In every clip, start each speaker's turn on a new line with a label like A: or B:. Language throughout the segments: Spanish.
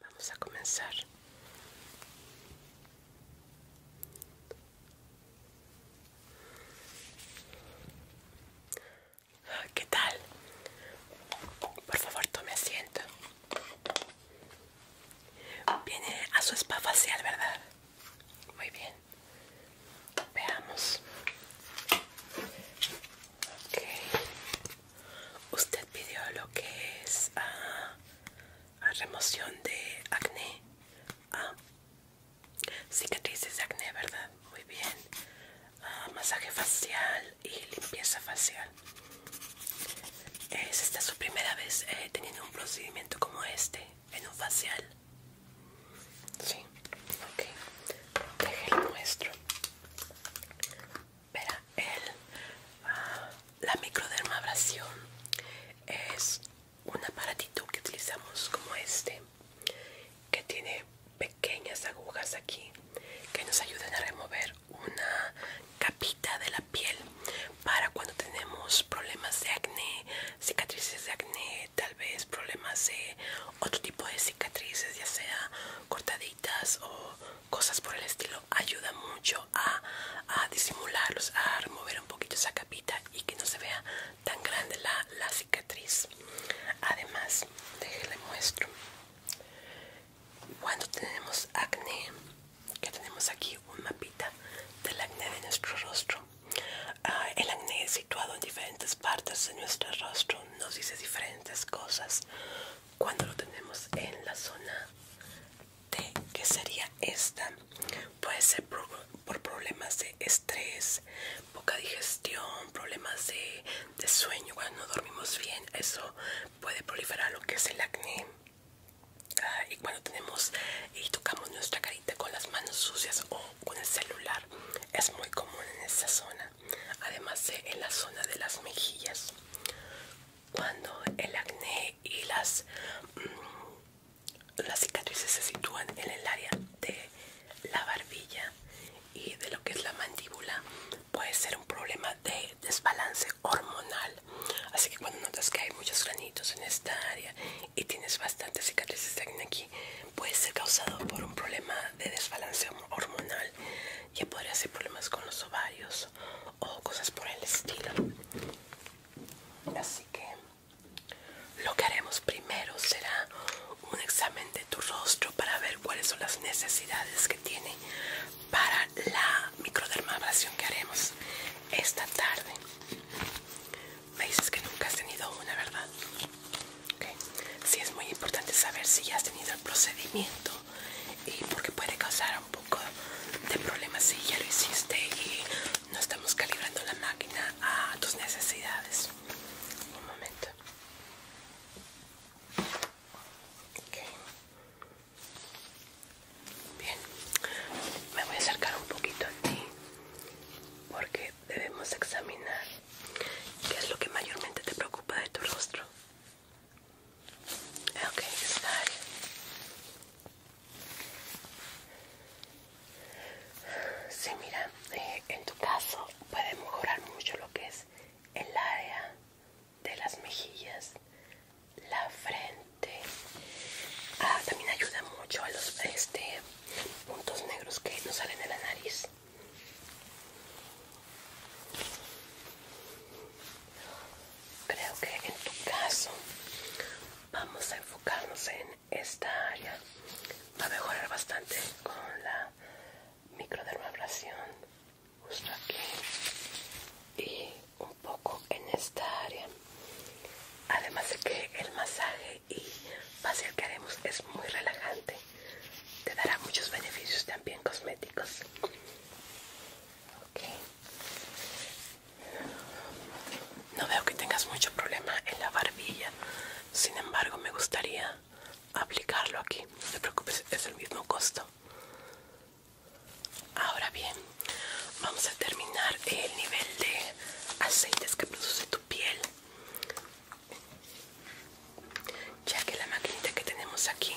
A: Vamos a comenzar. Ah, ¿Qué tal? Por favor, tome asiento. Viene a su spa facial, ¿verdad? Muy bien. Veamos. Okay usted pidió lo que es ah, remoción de acné ah, cicatrices de acné verdad muy bien ah, masaje facial y limpieza facial es esta su primera vez eh, teniendo un procedimiento como este en un facial sí ok déjelo nuestro la el, ah, la microdermabrasión es un aparatito que utilizamos como este, que tiene pequeñas agujas aquí que nos ayudan a remover una capita de la piel para cuando tenemos problemas de acné, cicatrices de acné, tal vez problemas de otro tipo de cicatrices, ya sea cortaditas o cosas por el estilo ayuda mucho a, a disimularlos, a remover un poquito esa capita y que no se vea tan grande la, cicatriz. Además, déjenle muestro. Cuando tenemos acné, que tenemos aquí un mapita del acné de nuestro rostro. Ah, el acné situado en diferentes partes de nuestro rostro nos dice diferentes cosas cuando lo tenemos en la zona T, que sería esta, puede ser por, problemas de estrés, poca digestión, problemas de, de sueño, cuando no dormimos bien, eso puede proliferar lo que es el acné. Ah, y cuando tenemos y tocamos nuestra carita con las manos sucias o con el celular, es muy común en esa zona, además de en la zona de las mejillas cuando el acné y las, mm, las cicatrices se sitúan en el área de la barbilla y de lo que es la mandíbula puede ser un problema de desbalance hormonal así que cuando notas que hay muchos granitos en esta área y tienes bastantes cicatrices de acné aquí puede ser causado por un problema de desbalance hormonal ya podría ser problemas con los ovarios o cosas por el estilo. Así que lo que haremos primero será un examen de tu rostro para ver cuáles son las necesidades que tiene para la microdermabrasión que haremos esta tarde. Me dices que nunca has tenido una, ¿verdad? Si Sí, es muy importante saber si ya has tenido el procedimiento y porque puede causar un poco de problemas si ya lo hiciste y no estamos calibrando la máquina a tus necesidades. Un momento. Bien, me voy a acercar un poquito a ti porque debemos examinar qué es lo que mayormente te preocupa de tu rostro. Ok, está. ahí. Sí, mira, eh, en tu caso puede mejorar mucho lo que es el área de las mejillas, la frente. Ah, también ayuda mucho a los este, puntos negros que nos salen de la nariz creo que en tu caso vamos a enfocarnos en esta área. Va a mejorar bastante con la microdermabrasión justo aquí y un poco en esta área. Además de que el masaje y facial que haremos es muy relajante. Te dará muchos beneficios también cosméticos. Okay. No veo que tengas mucho problema en la barbilla. Sin embargo, me gustaría aplicarlo aquí. No te preocupes, es el mismo costo. Ahora bien, vamos a terminar el nivel de aceites que produce tu piel. Ya que la maquinita que tenemos aquí,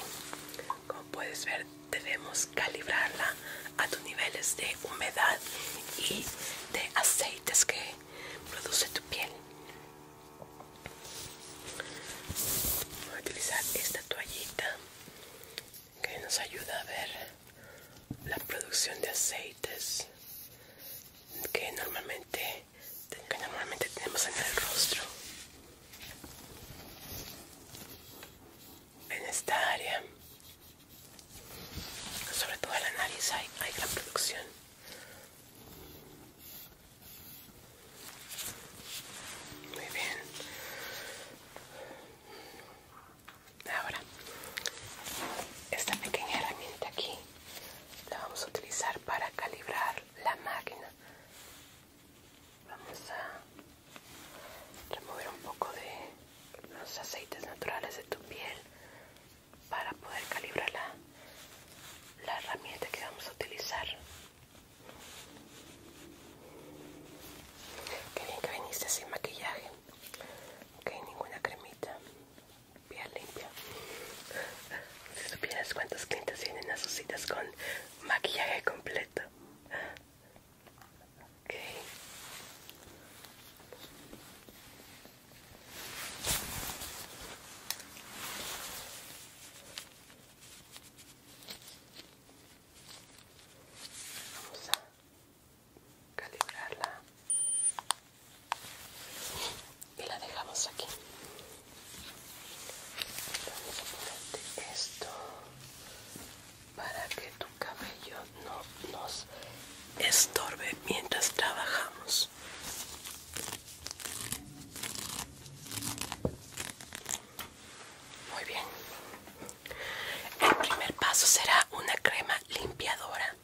A: como puedes ver, debemos calibrarla a tus niveles de humedad y de aceites que produce tu piel. Voy a utilizar esta toallita que nos ayuda a ver la producción de aceites que normalmente, normalmente tenemos en el rostro en esta área sobre todo en la nariz hay, la gran producción muy bien ahora esta pequeña herramienta aquí la vamos a utilizar para calibrar la máquina vamos a remover un poco de los aceites naturales de tu piel para poder calibrar la, herramienta que vamos a utilizar. Qué bien que viniste sin maquillaje, ok, ninguna cremita, piel limpia. Si supieras cuántas clientes vienen a sus citas con maquillaje completo. Okay. Vamos a calibrarla y la dejamos aquí. Vamos esto para que tu cabello no nos estorbe mientras trabajamos muy bien el primer paso será una crema limpiadora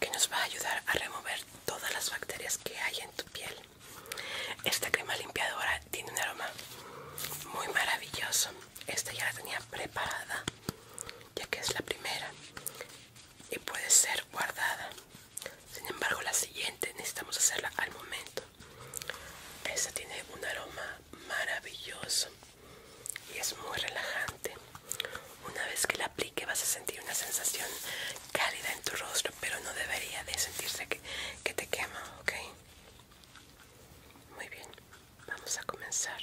A: que nos va a ayudar a remover todas las bacterias que hay en tu piel esta crema limpiadora tiene un aroma muy maravilloso. Esta ya la tenía preparada, ya que es la primera y puede ser guardada. Sin embargo, la siguiente necesitamos hacerla al momento. Esta tiene un aroma maravilloso y es muy relajante. Una vez que la aplique vas a sentir una sensación cálida en tu rostro, pero no debería de sentirse que, que te quema, ¿ok? Muy bien, vamos a comenzar.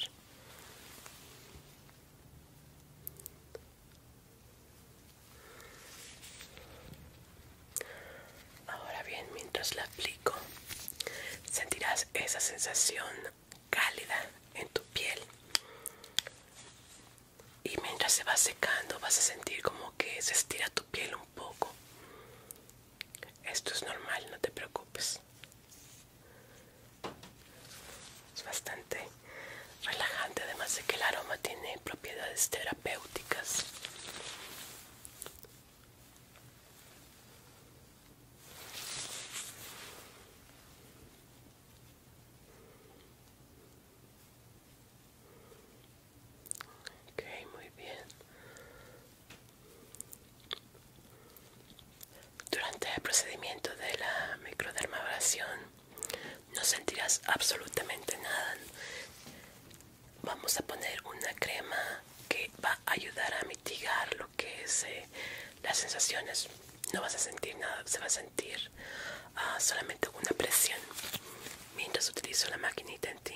A: Ahora bien, mientras la aplico, sentirás esa sensación cálida en tu piel. Y mientras se va secando, vas a sentir como que se estira tu piel un poco. Esto es normal, no te preocupes. Es bastante relajante, además de que el aroma tiene propiedades terapéuticas. Ok, muy bien. Durante el procedimiento de la microdermabrasión no sentirás absolutamente nada. Vamos a poner una crema que va a ayudar a mitigar lo que es las sensaciones. No vas a sentir nada, se va a sentir ah, solamente una presión mientras utilizo la maquinita en ti.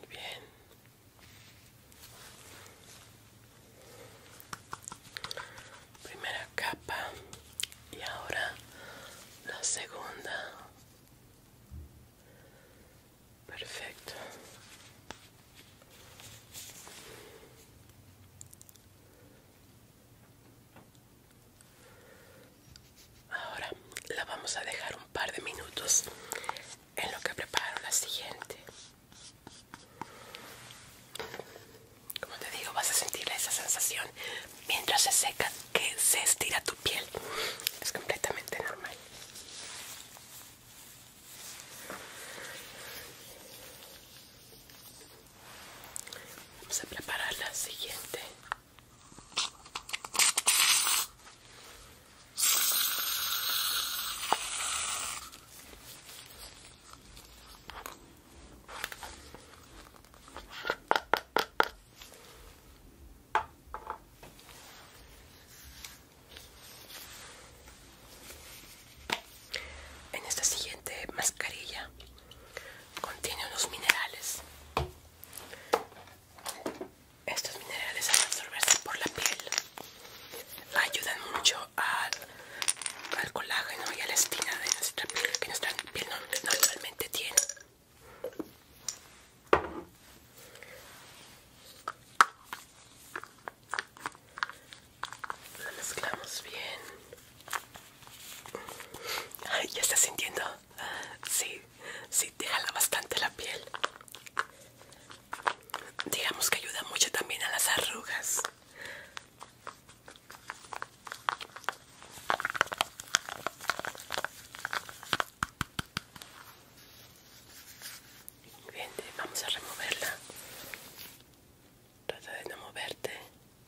A: Muy Bien. Primera capa y ahora la segunda. Perfecto. Ahora la vamos a dejar un par de minutos en lo que preparo la siguiente. Como te digo, vas a sentir esa sensación mientras se seca que se estira tu piel. Es completamente normal. Vamos a preparar la siguiente. En esta siguiente mascarilla Contiene unos minerales. Estos minerales al absorberse por la piel ayudan mucho al colágeno y a la espina de nuestra piel que nuestra piel normalmente tiene. Lo mezclamos bien ya está sintiendo. Sí, sí, te jala bastante la piel. Digamos que ayuda mucho también a las arrugas. Bien, vamos a removerla. Trata de no moverte.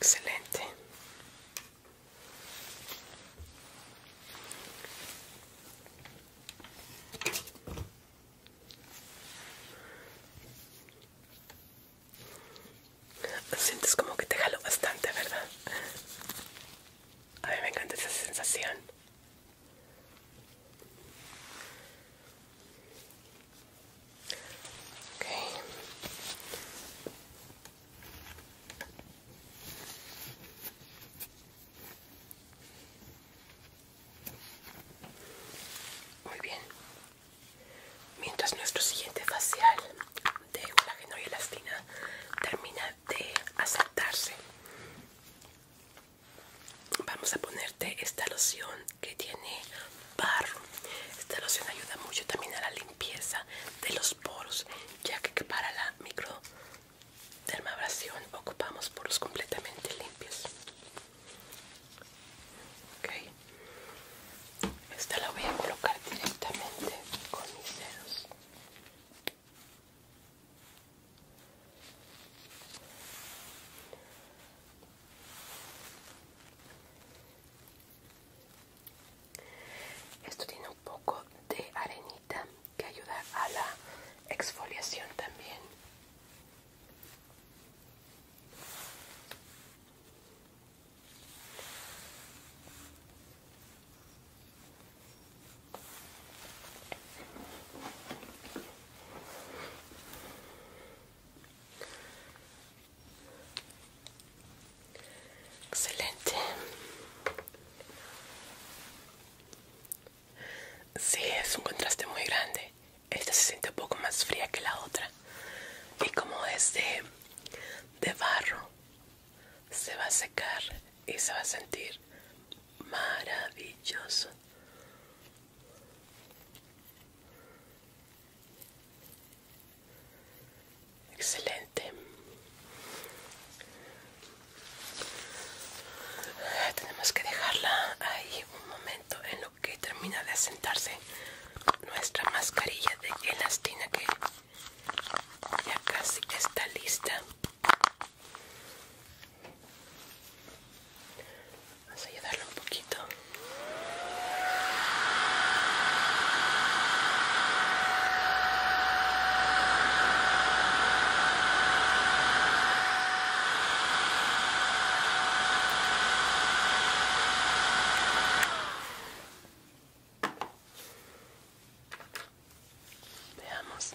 A: Excelente. Sientes como que te jalo bastante, ¿verdad? A mí me encanta esa sensación. Muy bien. Mientras nuestro siguiente facial de colágeno y elastina termina de asentarse, vamos a ponerte esta loción que tiene barro. Esta loción ayuda mucho también a la limpieza de los poros, ya que para la microdermabrasión ocupamos poros completamente limpios. Esta la voy a colocar directamente con mis dedos. Esto tiene un poco de arenita que ayuda a la exfoliación también. Excelente. Sí, es un contraste muy grande. Esta se siente un poco más fría que la otra. Y como es de barro, se va a secar y se va a sentir maravilloso excelente ah, tenemos que dejarla ahí un momento en lo que termina de asentarse nuestra mascarilla de elastina que ya casi está lista Vamos a ayudarlo un poquito. Veamos.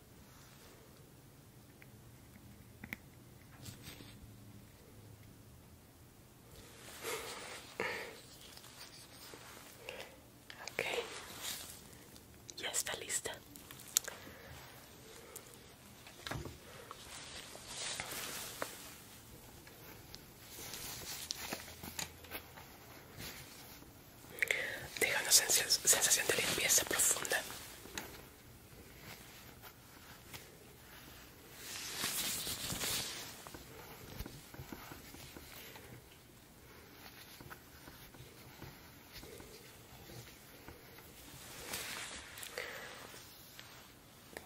A: Ok, ya está lista. Deja una sensación de limpieza profunda.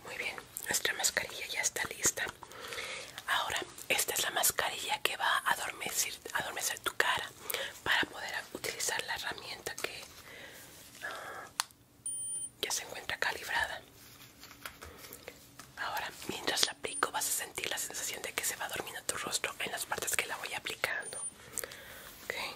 A: Muy bien, nuestra mascarilla ya está lista. Ahora, esta es la mascarilla que va a adormecer, tu cara para poder utilizar la herramienta que ya se encuentra calibrada. Ahora, mientras la aplico, vas a sentir la sensación de que se va dormiendo tu rostro en las partes que la voy aplicando. Ok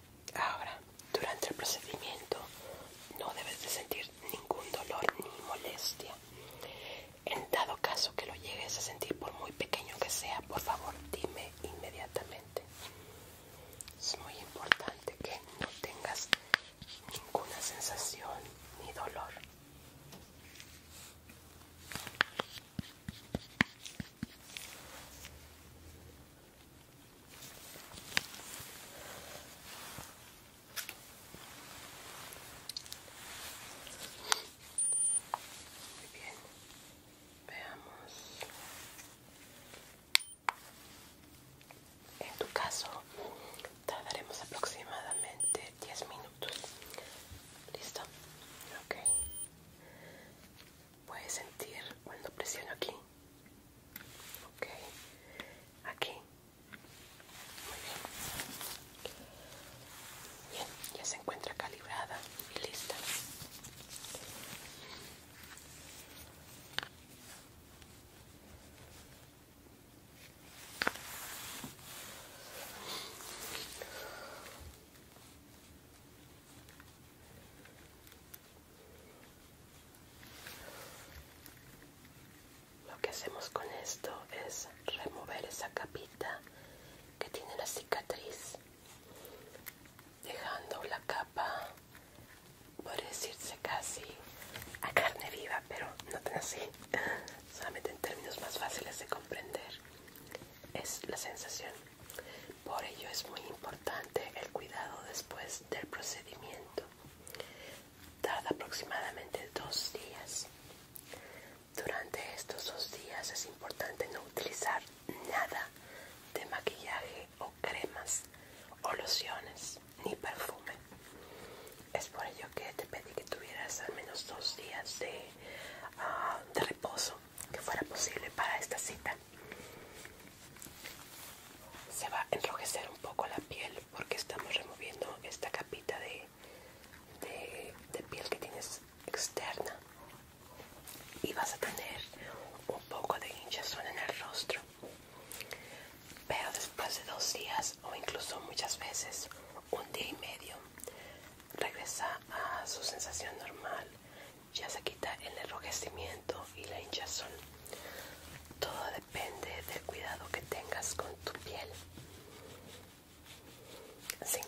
A: Ahora, durante el procedimiento no debes de sentir ningún dolor ni molestia. En dado caso que lo llegues a sentir por muy pequeño que sea, por favor dime inmediatamente. Es muy importante que no tengas ninguna sensación ni dolor. Muy bien, veamos. En tu caso, tardaremos aproximadamente 10 minutos. ¿Listo? puedes sentir cuando presiono aquí ok aquí bien ya se encuentra calibrada y lista lo que hacemos con esto es remover esa capita que tiene la cicatriz, dejando la capa, por decirse casi a carne viva, pero no tan así, solamente en términos más fáciles de comprender. Es la sensación. Por ello es muy importante el cuidado después del procedimiento. Tarda aproximadamente dos días. Durante estos dos días es importante no utilizar nada de maquillaje o cremas o lociones ni perfume. Es por ello que te pedí que tuvieras al menos dos días de, ah, de reposo que fuera posible para esta cita se va a enrojecer un poco la piel porque estamos removiendo esta capita de, de, de piel que tienes externa y vas a tener un poco de hinchazón en el rostro pero después de dos días o incluso muchas veces un día y medio regresa a su sensación normal ya se quita el enrojecimiento y la hinchazón. Todo depende del cuidado que tengas con tu piel. Sí,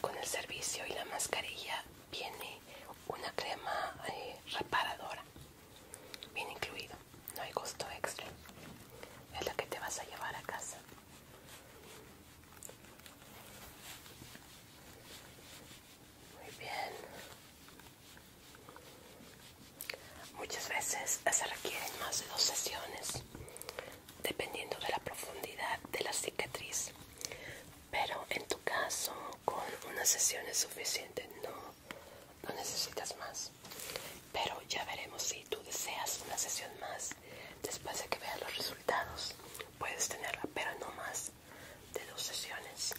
A: con el servicio y la mascarilla viene una crema eh, reparadora. viene incluido, no hay costo extra. Es la que te vas a llevar a casa. Muy bien. Muchas veces se requieren más de dos sesiones, dependiendo de la profundidad de la cicatriz. Pero en tu caso, con una sesión es suficiente, no, no necesitas más. Pero ya veremos si tú deseas una sesión más. Después de que veas los resultados, puedes tenerla, pero no más de dos sesiones.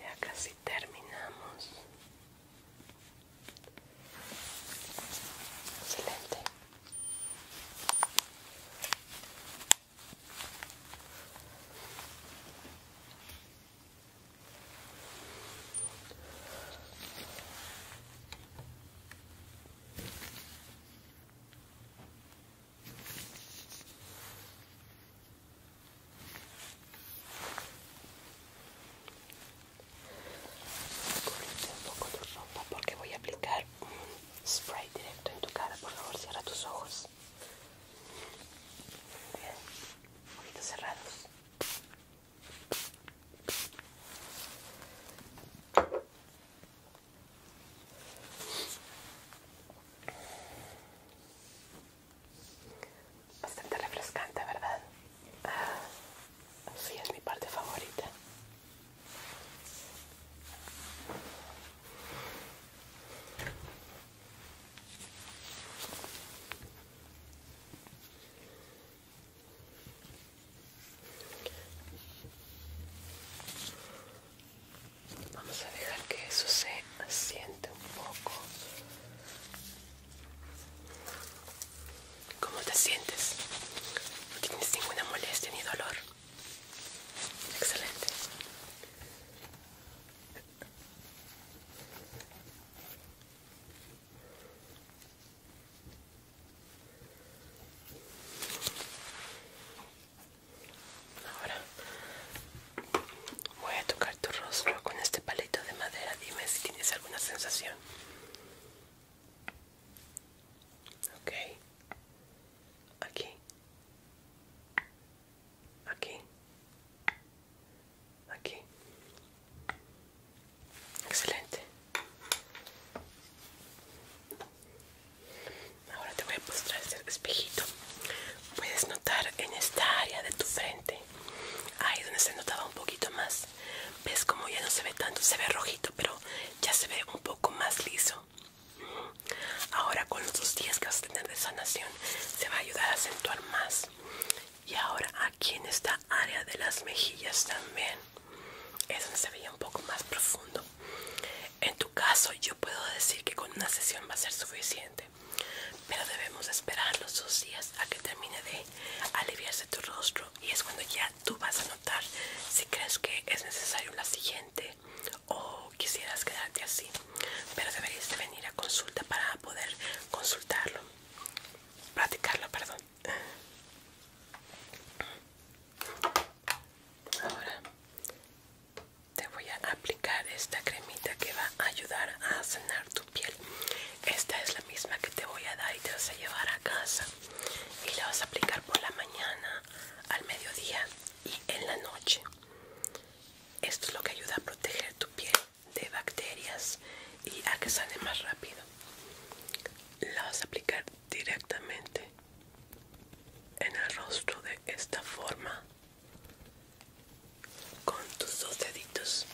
A: Ya casi terminamos. Excelente. Correte un poco tu ropa porque voy a aplicar spray directo en tu cara. Por favor, cierra tus ojos. bien, ojitos cerrados. Bastante refrescante, ¿verdad? si, ah, sí, es mi parte favorita. Vamos a dejar que eso se asiente un poco. ¿Cómo te sientes? ¿No tienes ninguna molestia ni dolor? Excelente. Ahora voy a tocar tu rostro con este palito de madera. Dime si tienes alguna sensación. Ok aquí, aquí, aquí. Excelente. Ahora te voy a mostrar este espejito. Puedes notar en esta área de tu frente, ahí donde se notaba un poquito más. Ves como ya no se ve tanto, se ve rojito, pero ya se ve un poco más liso. Ahora con los dos días que vas a tener de sanación se va a ayudar a acentuar más. Y ahora aquí en esta área de las mejillas también es donde se veía un poco más profundo. En tu caso yo puedo decir que con una sesión va a ser suficiente, pero debemos esperar los dos días a que termine de aliviarse tu rostro y es cuando ya tú vas a notar si crees que es necesario la siguiente o quisieras quedarte así pero deberías venir a consulta para poder consultarlo practicarlo perdón ahora te voy a aplicar esta cremita que va a ayudar a sanar tu piel esta es la misma que te voy a dar y te vas a llevar a casa y la vas a aplicar por la mañana al mediodía y en la noche. Esto es lo que ayuda a proteger tu piel de bacterias y a que sane más rápido. La vas a aplicar directamente en el rostro de esta forma con tus dos deditos.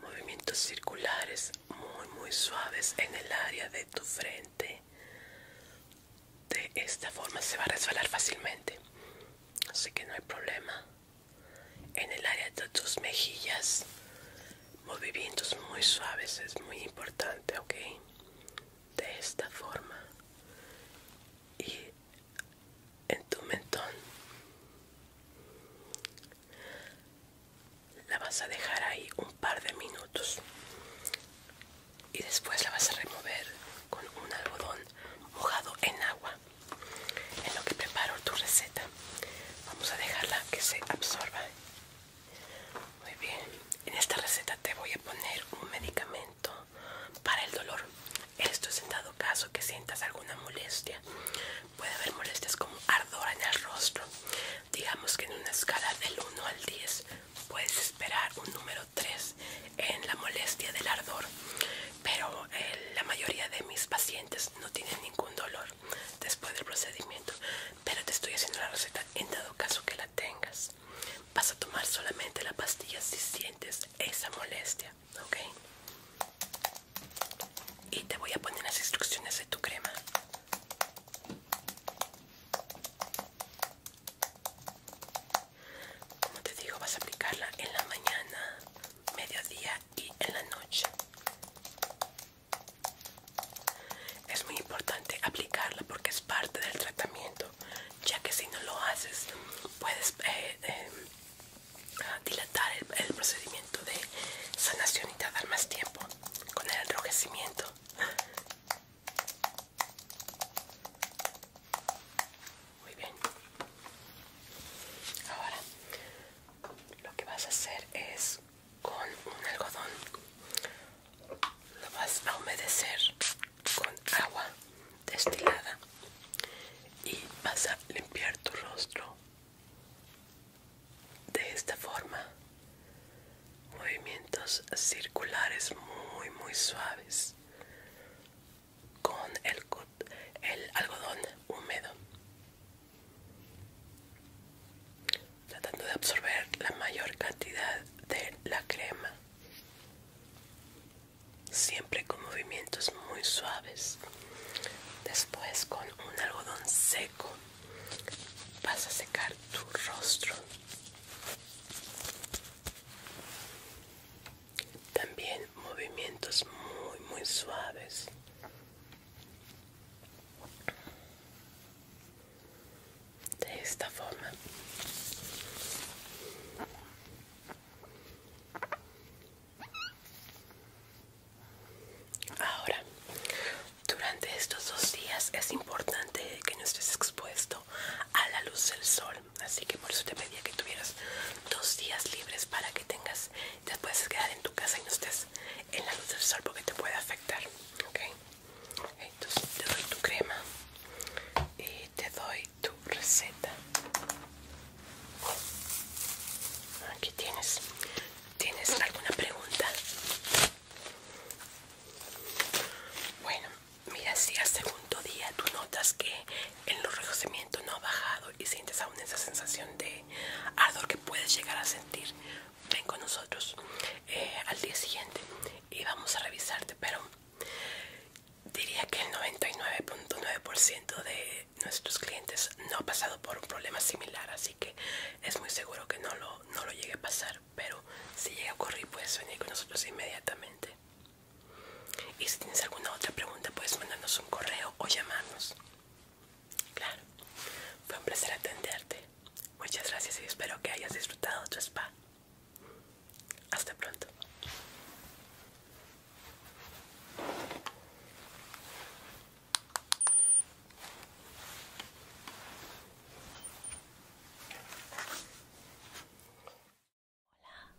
A: Movimientos circulares muy muy suaves en el área de tu frente de esta forma se va a resbalar fácilmente así que no hay problema en el área de tus mejillas movimientos muy suaves es muy importante ok de esta forma y en tu mentón la vas a dejar ahí un par de minutos y después la vas a remover con un algodón mojado en agua en lo que preparo tu receta vamos a dejarla que se absorba muy bien en esta receta te voy a poner un medicamento para el dolor esto es en dado este caso que sientas alguna molestia puede haber molestias como ardor en el rostro digamos que en una escala del 1 al 10 puedes esperar un número 3 en la molestia del ardor pero eh, la mayoría de mis pacientes no tienen ningún dolor después del procedimiento pero te estoy haciendo la receta en dado caso que la tengas vas a tomar solamente la pastilla si sientes esa molestia ok y te voy a poner las instrucciones de tu crema como te digo, vas a aplicarla en la mañana, mediodía y en la noche. Es muy importante aplicarla porque es parte del tratamiento, ya que si no lo haces puedes eh, eh, ah, dilatar el, el procedimiento de sanación y tardar más tiempo con el enrojecimiento. Muy bien. Ahora lo que vas a hacer es con un algodón lo vas a humedecer con agua destilada y vas a limpiar tu rostro de esta forma movimientos circulares muy muy suaves con el, algodón húmedo tratando de absorber la mayor cantidad de la crema siempre con movimientos muy suaves después con un algodón seco vas a secar tu rostro también movimientos muy, muy suaves. De esta forma. Ahora, durante estos dos días es importante que no estés expuesto a la luz del sol así que por eso te pedía que tuvieras dos días libres para que tengas te puedes quedar en tu casa y no estés en la luz del sol porque te puede afectar ok entonces te doy tu crema y te doy tu receta aquí tienes tienes alguna pregunta bueno Mira, si al segundo día tú notas que el enrojecimiento no ha bajado y sientes aún esa sensación de ardor que puedes llegar a sentir, ven con nosotros eh, al día siguiente y vamos a revisarte. Pero diría que el 99.9% de nuestros clientes no ha pasado por un problema similar, así que es muy seguro que no lo llegue a pasar pero si llega a ocurrir puedes venir con nosotros inmediatamente. Y si tienes alguna otra pregunta puedes mandarnos un correo o llamarnos. Claro, fue un placer atenderte. Muchas gracias y espero que hayas disfrutado tu spa. Hasta pronto.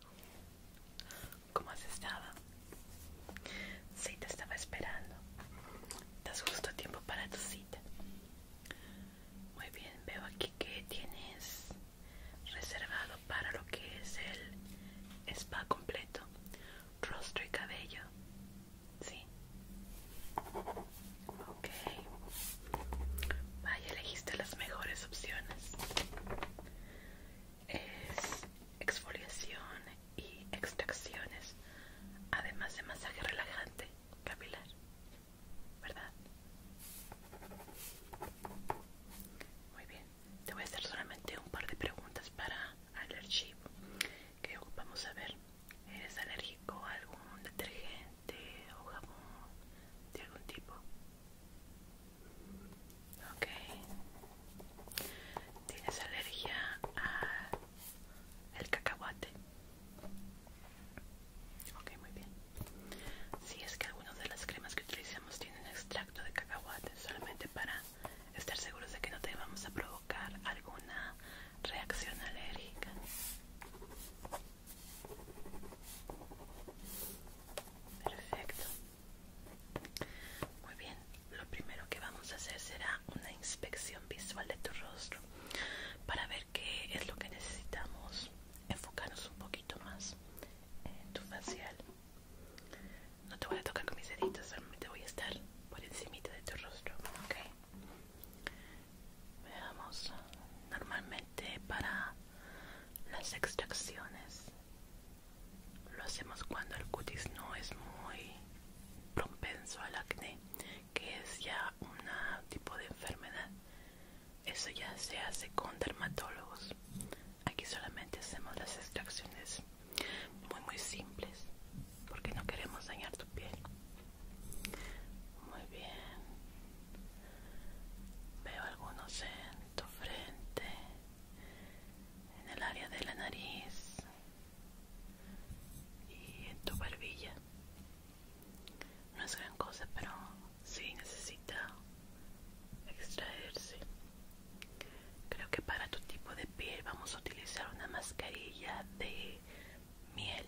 A: Hola, ¿cómo has estado? Sí, te estaba esperando. Estás justo a tiempo para tu cita. Muy bien, veo aquí que tienes reservado para lo que es el spa completo, rostro y cabello. Sí. Ok. Vaya, elegiste las mejores opciones. Es exfoliación y extracciones, además de masaje relajante capilar, ¿verdad? Muy bien, te voy a hacer solamente un par de preguntas para Allergy, que vamos a ver, ¿eres alérgico a algún detergente? de o jabón de algún tipo ok tienes alergia el cacahuate ok muy bien si es que algunas de las cremas que utilizamos tienen extracto de cacahuate solamente para estar seguros de que no te vamos a provocar alguna reacción alérgica Perfecto. Muy bien, lo primero que vamos a hacer será una inspección visual de tu rostro para ver qué es lo que necesitamos. Enfocarnos un poquito más en tu facial. No te voy a tocar con mis deditos, solamente voy a estar por encima de tu rostro, ¿ok? Veamos, normalmente para las extracciones lo hacemos cuando el cutis no es muy propenso al acné, que es ya un tipo de enfermedad. Eso ya se hace con dermatólogos. Aquí solamente hacemos las extracciones muy muy simples porque no queremos dañar tu piel. Muy bien. Veo algunos en tu frente, en el área de la nariz y en tu barbilla. No es gran cosa, pero sí necesita extraerse. Creo que para tu tipo de piel vamos a utilizar una mascarilla de miel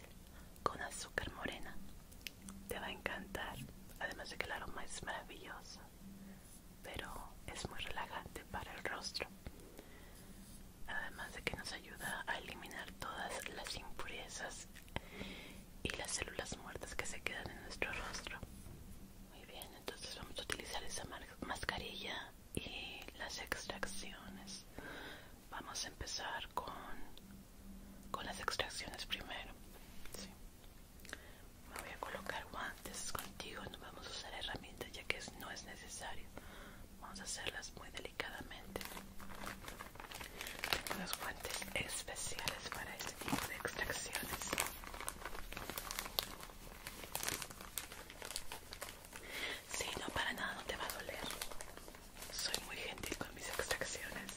A: con azúcar morena te va a encantar además de que el aroma es maravilloso pero es muy relajante para el rostro además de que nos ayuda a eliminar todas las impurezas y las células muertas que se quedan en nuestro rostro muy bien entonces vamos a utilizar esa mascarilla y las extracciones vamos a empezar con con las extracciones primero me voy a colocar guantes contigo no vamos a usar herramientas ya que no es necesario vamos a hacerlas muy delicadamente tengo unos guantes especiales para este tipo de extracciones si no, para nada, no te va a doler. Soy muy gentil con mis extracciones.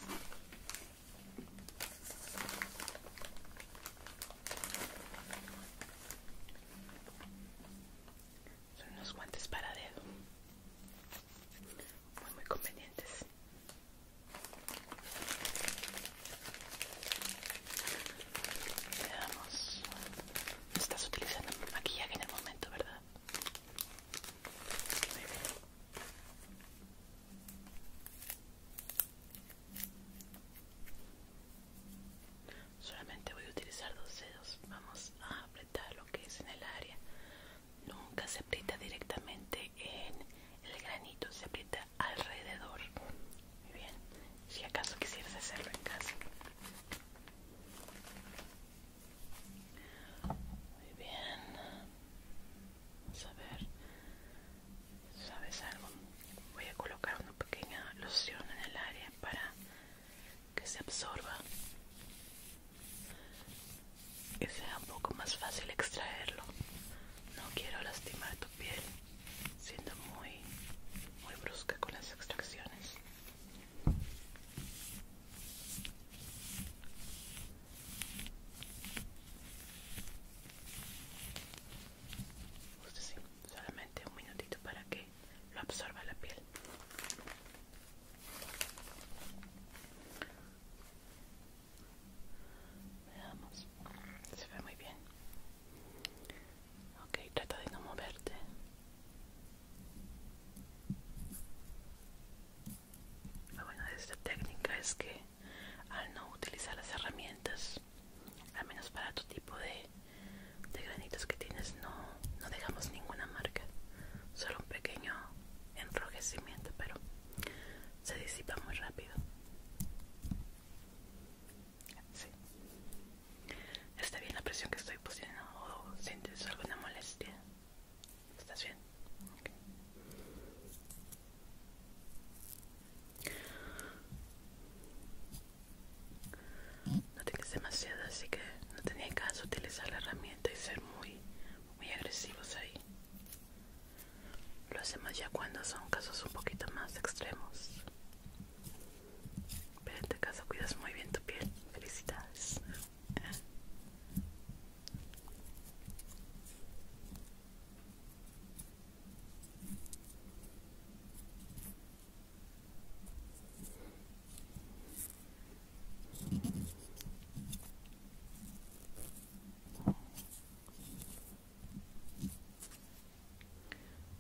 A: Son unos guantes para dedo. Muy, muy convenientes. Veamos... Estás utilizando maquillaje en el momento, ¿verdad? Solamente voy a utilizar dos dedos. Vamos a apretar lo que es en el área. Nunca se aprieta directamente en el granito, se aprieta alrededor. Muy bien. Si acaso quisieras hacerlo en casa. Muy bien saber sabes algo voy a colocar una pequeña loción en el área para que se absorba que sea un poco más fácil extraerlo no quiero lastimar tu piel siendo muy muy brusca con las extracciones solamente un minutito para que lo absorba la piel. Veamos, se ve muy bien. Ok, trata de no moverte. La bueno de esta técnica es que al no utilizar las herramientas, al menos para tu tipo de, granitos que tienes, no, no dejamos ninguna marca, solo un pequeño enrojecimiento, pero se disipa muy rápido. Está bien la presión que estoy pusiendo o sientes alguna molestia. ¿Estás bien? No tienes demasiado, así que no tenía caso utilizar la herramienta y ser muy, muy agresivos ahí. Lo hacemos ya cuando son casos un poquito más extremos. Pero en este caso cuidas muy bien tu piel. Felicidades.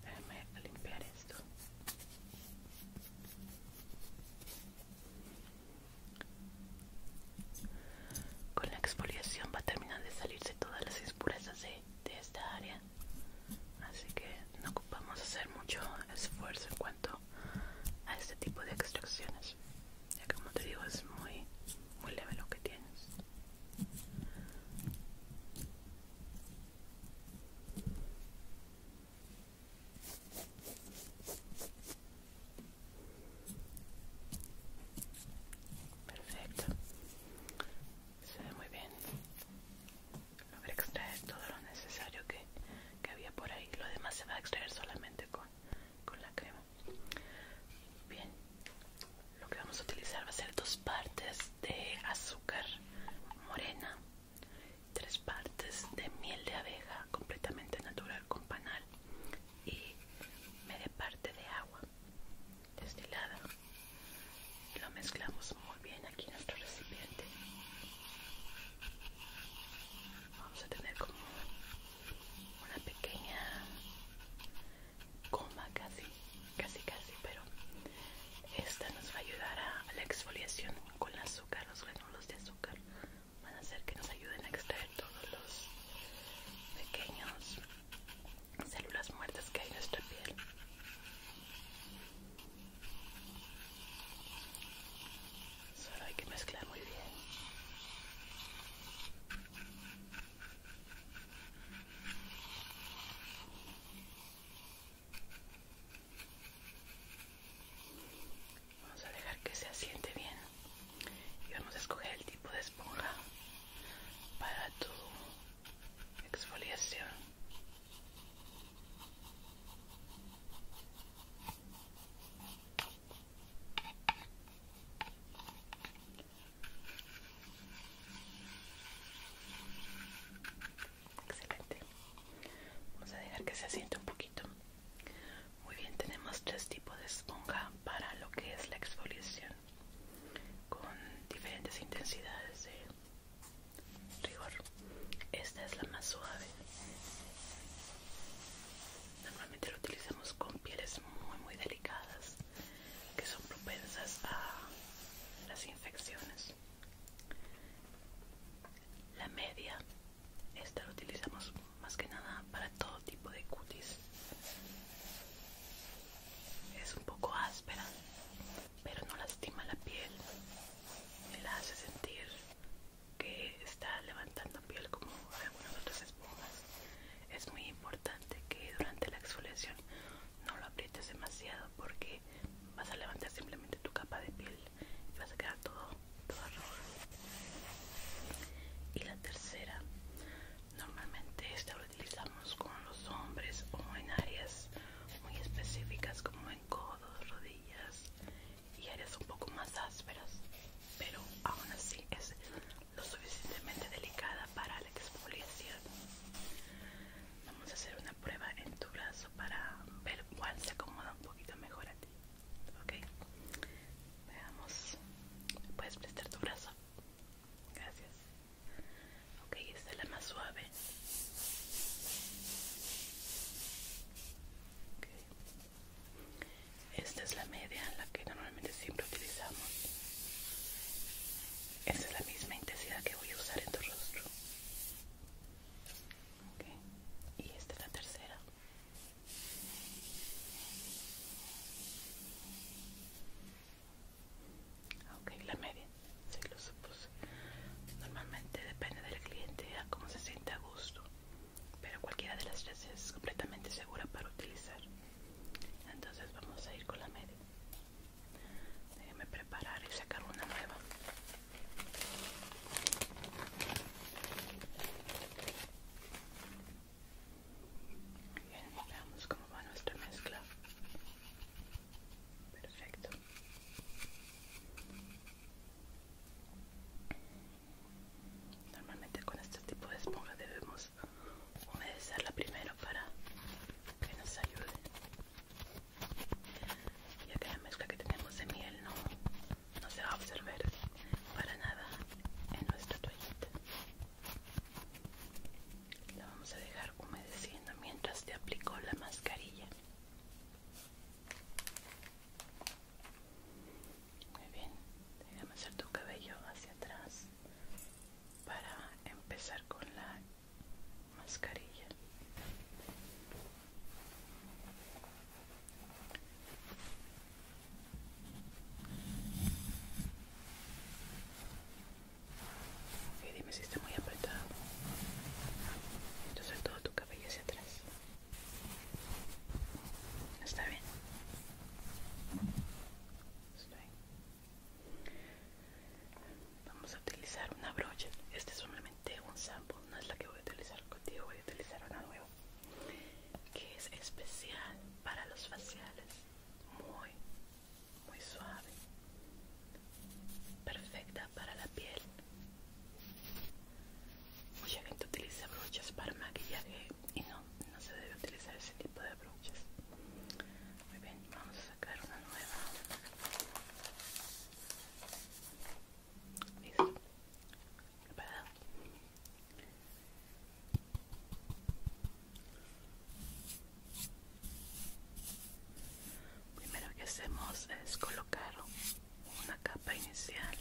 A: Déjame limpiar esto. Con la exfoliación va a terminar de salirse todas las impurezas de, esta área. Así que no ocupamos hacer mucho esfuerzo en cuanto a este tipo de extracciones. Ya que como te digo es muy,
B: muy leve lo que tienes.
A: Perfecto. Se ve muy bien. Logré extraer todo lo necesario que, había por ahí. Lo demás se va a extraer solamente con, con la crema. Bien. Lo que vamos a utilizar va a ser dos partes de azúcar morena, tres partes de miel de abeja completamente natural con panal y me de parte de agua destilada y lo mezclamos muy bien aquí en nuestro recipiente vamos a tener como una pequeña coma casi casi casi pero esta nos va a ayudar a la exfoliación con el azúcar los granulos de azúcar van a hacer que nos ayuden a extraer todos los pequeños células muertas que hay en nuestra piel. Solo hay que mezclar muy bien. Vamos a dejar que se asiente bien y vamos a escoger el tipo de esponja para tu exfoliación Excelente. Vamos a dejar que se asiente un poquito. Muy bien, tenemos tres tipos de esponja para lo que es la exfoliación con diferentes intensidades de rigor. Esta es la más suave. Normalmente lo utilizamos con pieles muy muy delicadas que son propensas a las infecciones. La media, esta la utilizamos más que nada para todo tipo de cutis es un poco áspera pero no lastima la piel me la hace sentir que está levantando piel como algunas otras esponjas es muy importante que durante la exfoliación no lo aprietes demasiado porque vas a levantar simplemente tu capa de piel y vas a quedar todo, todo rojo y la tercera Normalmente esta lo utilizamos con los hombres o en áreas muy específicas como en codos, rodillas y áreas un poco más ásperas, pero aún así es lo suficientemente delicada para la expoliación Vamos a hacer una prueba en tu brazo para ver cuál se acomoda un poquito mejor a ti. Ok, veamos. ¿Puedes prestar tu brazo? Gracias. Ok, esta es la más suave. Esta es la media, la que normalmente siempre utilizamos. Esta es la misma intensidad que voy a usar en tu rostro. Okay. Y esta es la tercera. Ok, la media, lo supuse. Normalmente depende del cliente a cómo se siente a gusto, pero cualquiera de las tres es completamente segura para utilizar. Entonces vamos a ir con la media. Déjeme preparar y sacar una nueva. Bien, veamos cómo va nuestra mezcla. Perfecto. Normalmente con este tipo de esponja debemos humedecerla primero para que nos ayude. Ya que la mezcla que tenemos de miel no, no se va a absorber para nada en nuestra toallita. La vamos a dejar humedeciendo mientras te aplico la mascarilla. Muy bien, déjame hacer tu cabello hacia atrás para empezar con la mascarilla. Ok, dime si está muy apretado. Entonces todo tu cabello hacia atrás. ¿Está bien? Estoy. Vamos a utilizar una brocha. Este es solamente un sample, no es la que voy a utilizar contigo, voy a utilizar una nueva que es especial para los faciales muy muy suave perfecta para la piel mucha gente utiliza brochas para maquillaje y no no se debe utilizar ese tipo de brochas muy bien vamos a sacar una nueva listo preparado Primero que hacemos es colocar una capa inicial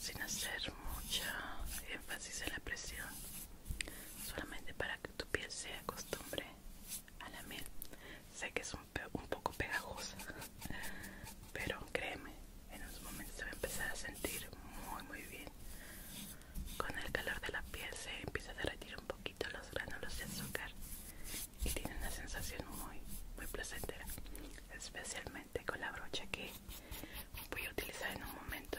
A: sin hacer mucha énfasis en la presión, solamente para que tu piel se acostumbre a la miel. Sé que es un poco pegajosa, pero créeme, en unos momentos se va a empezar a sentir muy muy bien con el calor de la piel se empieza a derretir un poquito los gránulos de azúcar y tiene una sensación muy muy placentera especialmente con la brocha que voy a utilizar en un momento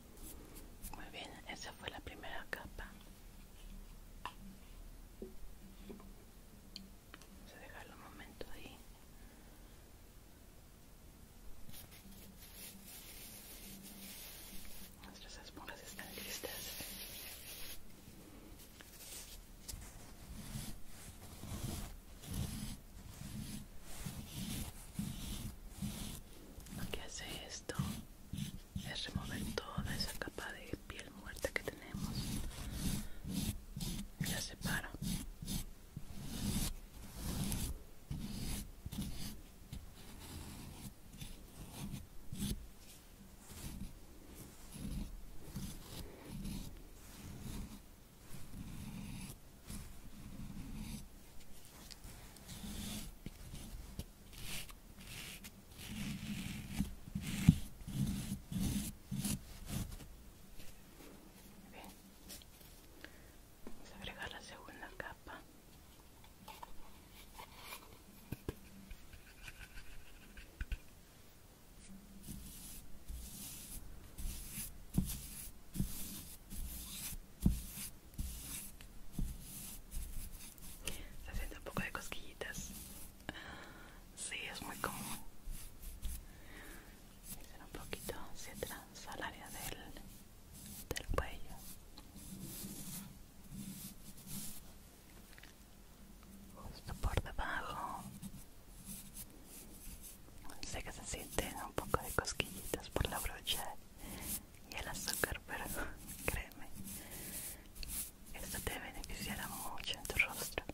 A: Muy bien, esa fue la primera capa. Vamos a dejarlo un momento ahí. Nuestras esponjas están listas lo que hace esto es remover toda esa capa de piel muerta que tenemos y la separa Bien. Vamos a agregar la segunda capa. Bien. Se siente un poco de cosquillitas. Sí, es muy común. Hacer un poquito hacia atrás al área del, cuello. Justo por debajo. Sé que se siente un poco de cosquillitas por la brocha y el azúcar, pero créeme, esto te beneficiará mucho en tu rostro.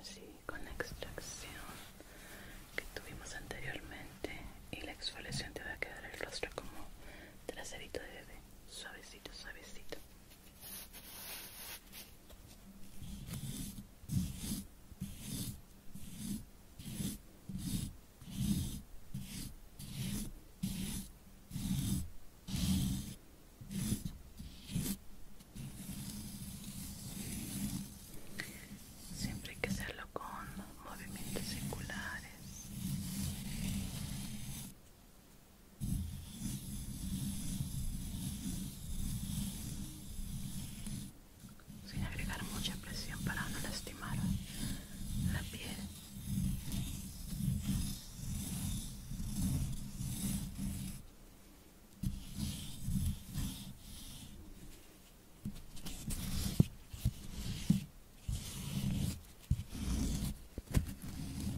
A: Así con la extracción que tuvimos anteriormente y la exfoliación te va a quedar el rostro como traserito de bebé, suavecito, suavecito. Siempre hay que hacerlo con movimientos circulares sin agregar mucha presión para no lastimar la piel.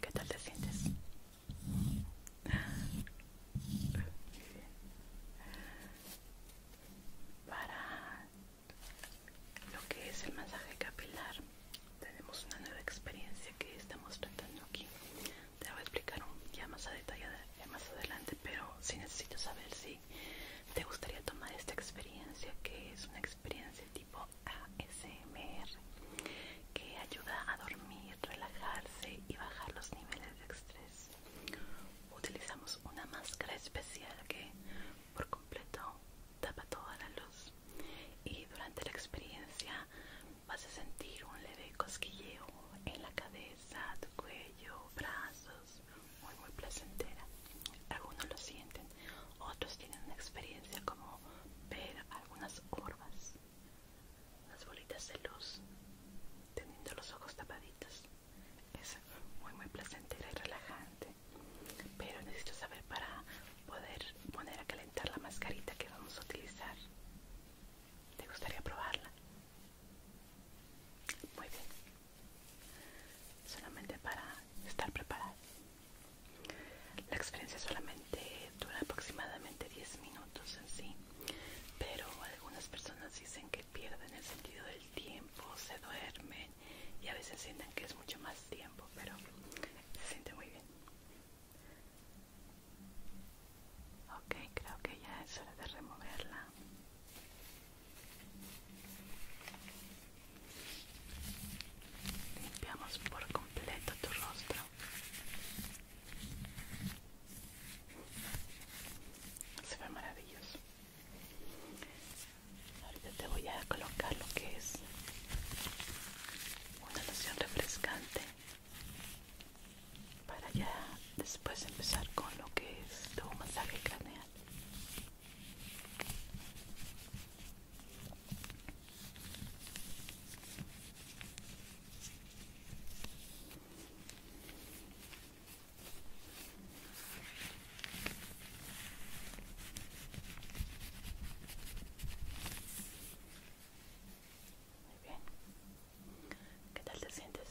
A: ¿Qué tal te sientes? Para lo que es el masaje capilar, tenemos una nueva experiencia que estamos tratando aquí. Te voy a explicar un, ya más a detalle más adelante, pero si necesitas necesito saber si te gustaría tomar esta experiencia, que es una experiencia tipo ASMR que ayuda a dormir, relajarse y bajar los niveles de estrés. Utilizamos una máscara especial que por completo tapa toda la luz y durante la experiencia vas a sentir un leve cosquilleo en la cabeza, tu cuello, brazos muy muy placentera. Algunos lo sienten, otros tienen una experiencia como ver algunas orbas, las bolitas de luz, teniendo los ojos tapaditos. Es muy muy placentera y relajante, pero necesito saber para poder poner a calentar la mascarita que vamos a utilizar. ¿Te gustaría probarla? Muy bien, solamente para estar preparada La experiencia solamente dura aproximadamente 10 minutos en sí, pero algunas personas dicen que pierden el sentido del tiempo, se duermen y a veces sienten que es mucho más tiempo, pero se siente muy bien. Ok, creo que ya es hora de removerla. Limpiamos por completo tu rostro. Se ve maravilloso. Ahorita te voy a colocar lo que es una noción refrescante para ya después empezar con lo que es tu masaje craneal. Muy bien. ¿Qué tal te sientes?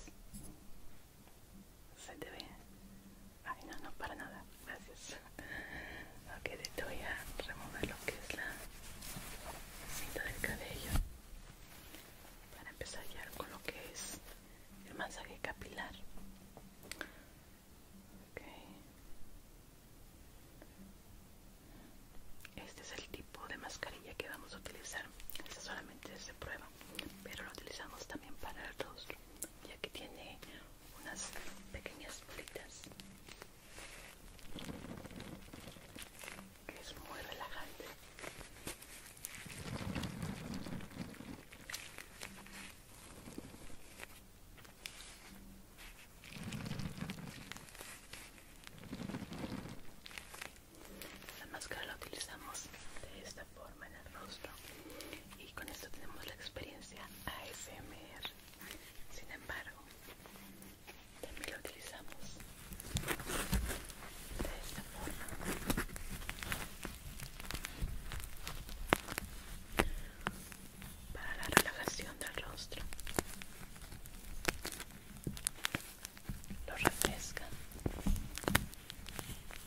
A: ¿Se te ve Ay, no, no, para nada. Gracias. Ok, te voy a remover lo que es la cinta del cabello. Para empezar ya con lo que es el masaje capilar. Okay. Este es el tipo de mascarilla que vamos a utilizar. Esta solamente es de prueba, pero lo utilizamos también para el rostro, ya que tiene unas pequeñas bolitas que es muy relajante la máscara la utilizamos de esta forma en el rostro y con esto tenemos la experiencia ASMR. Sin embargo, también lo utilizamos de esta forma. Para la relajación del rostro, lo refresca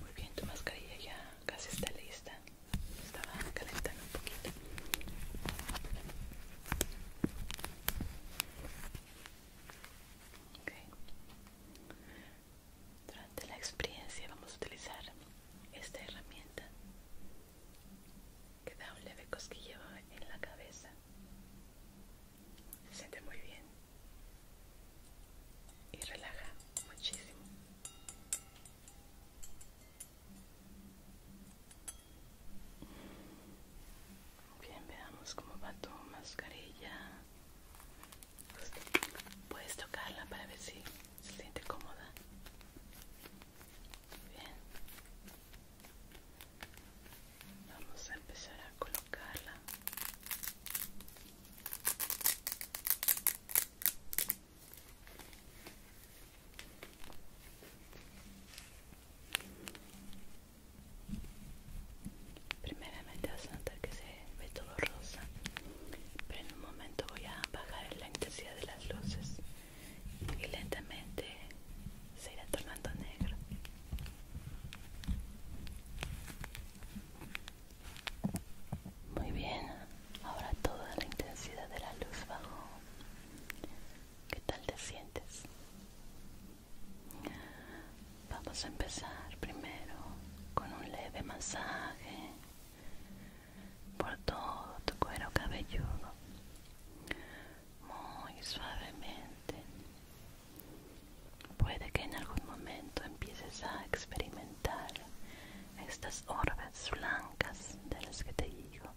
A: Muy bien, tu mascarilla ya casi está lista. Estaba calentando un poquito. Okay. Durante la experiencia vamos a utilizar esta herramienta que da un leve cosquilleo en la cabeza. Se siente muy bien y relaja muchísimo. Bien, veamos cómo va tu mascarilla. Puedes tocarla para ver si se siente cómoda. bien. Vamos a empezar a colocarla primeramente vas a notar que se ve todo rosa pero en un momento voy a bajar la intensidad de las luces y lentamente se irá tornando negro muy bien ahora toda la intensidad de la luz bajó ¿Qué tal te sientes? Vamos a empezar primero con un leve masaje por todo tu cuero cabelludo, muy suavemente. Puede que en algún momento empieces a experimentar estas orbes blancas de las que te digo.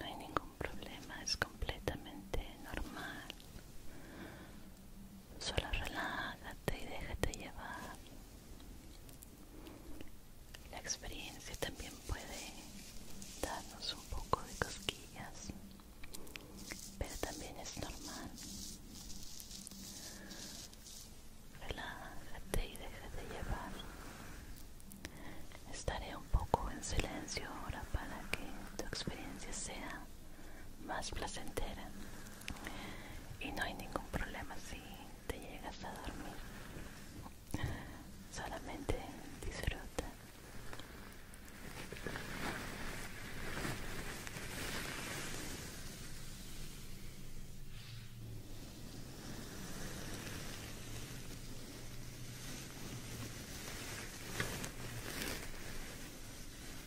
A: No hay ningún problema, es completamente normal. Solo relájate y déjate llevar. La experiencia también puede darnos un poco de cosquillas, pero también es normal. Relájate y déjate llevar. Estaré un poco en silencio ahora para que tu experiencia sea más placentera y no hay ningún problema si te llegas a dormir solamente disfruta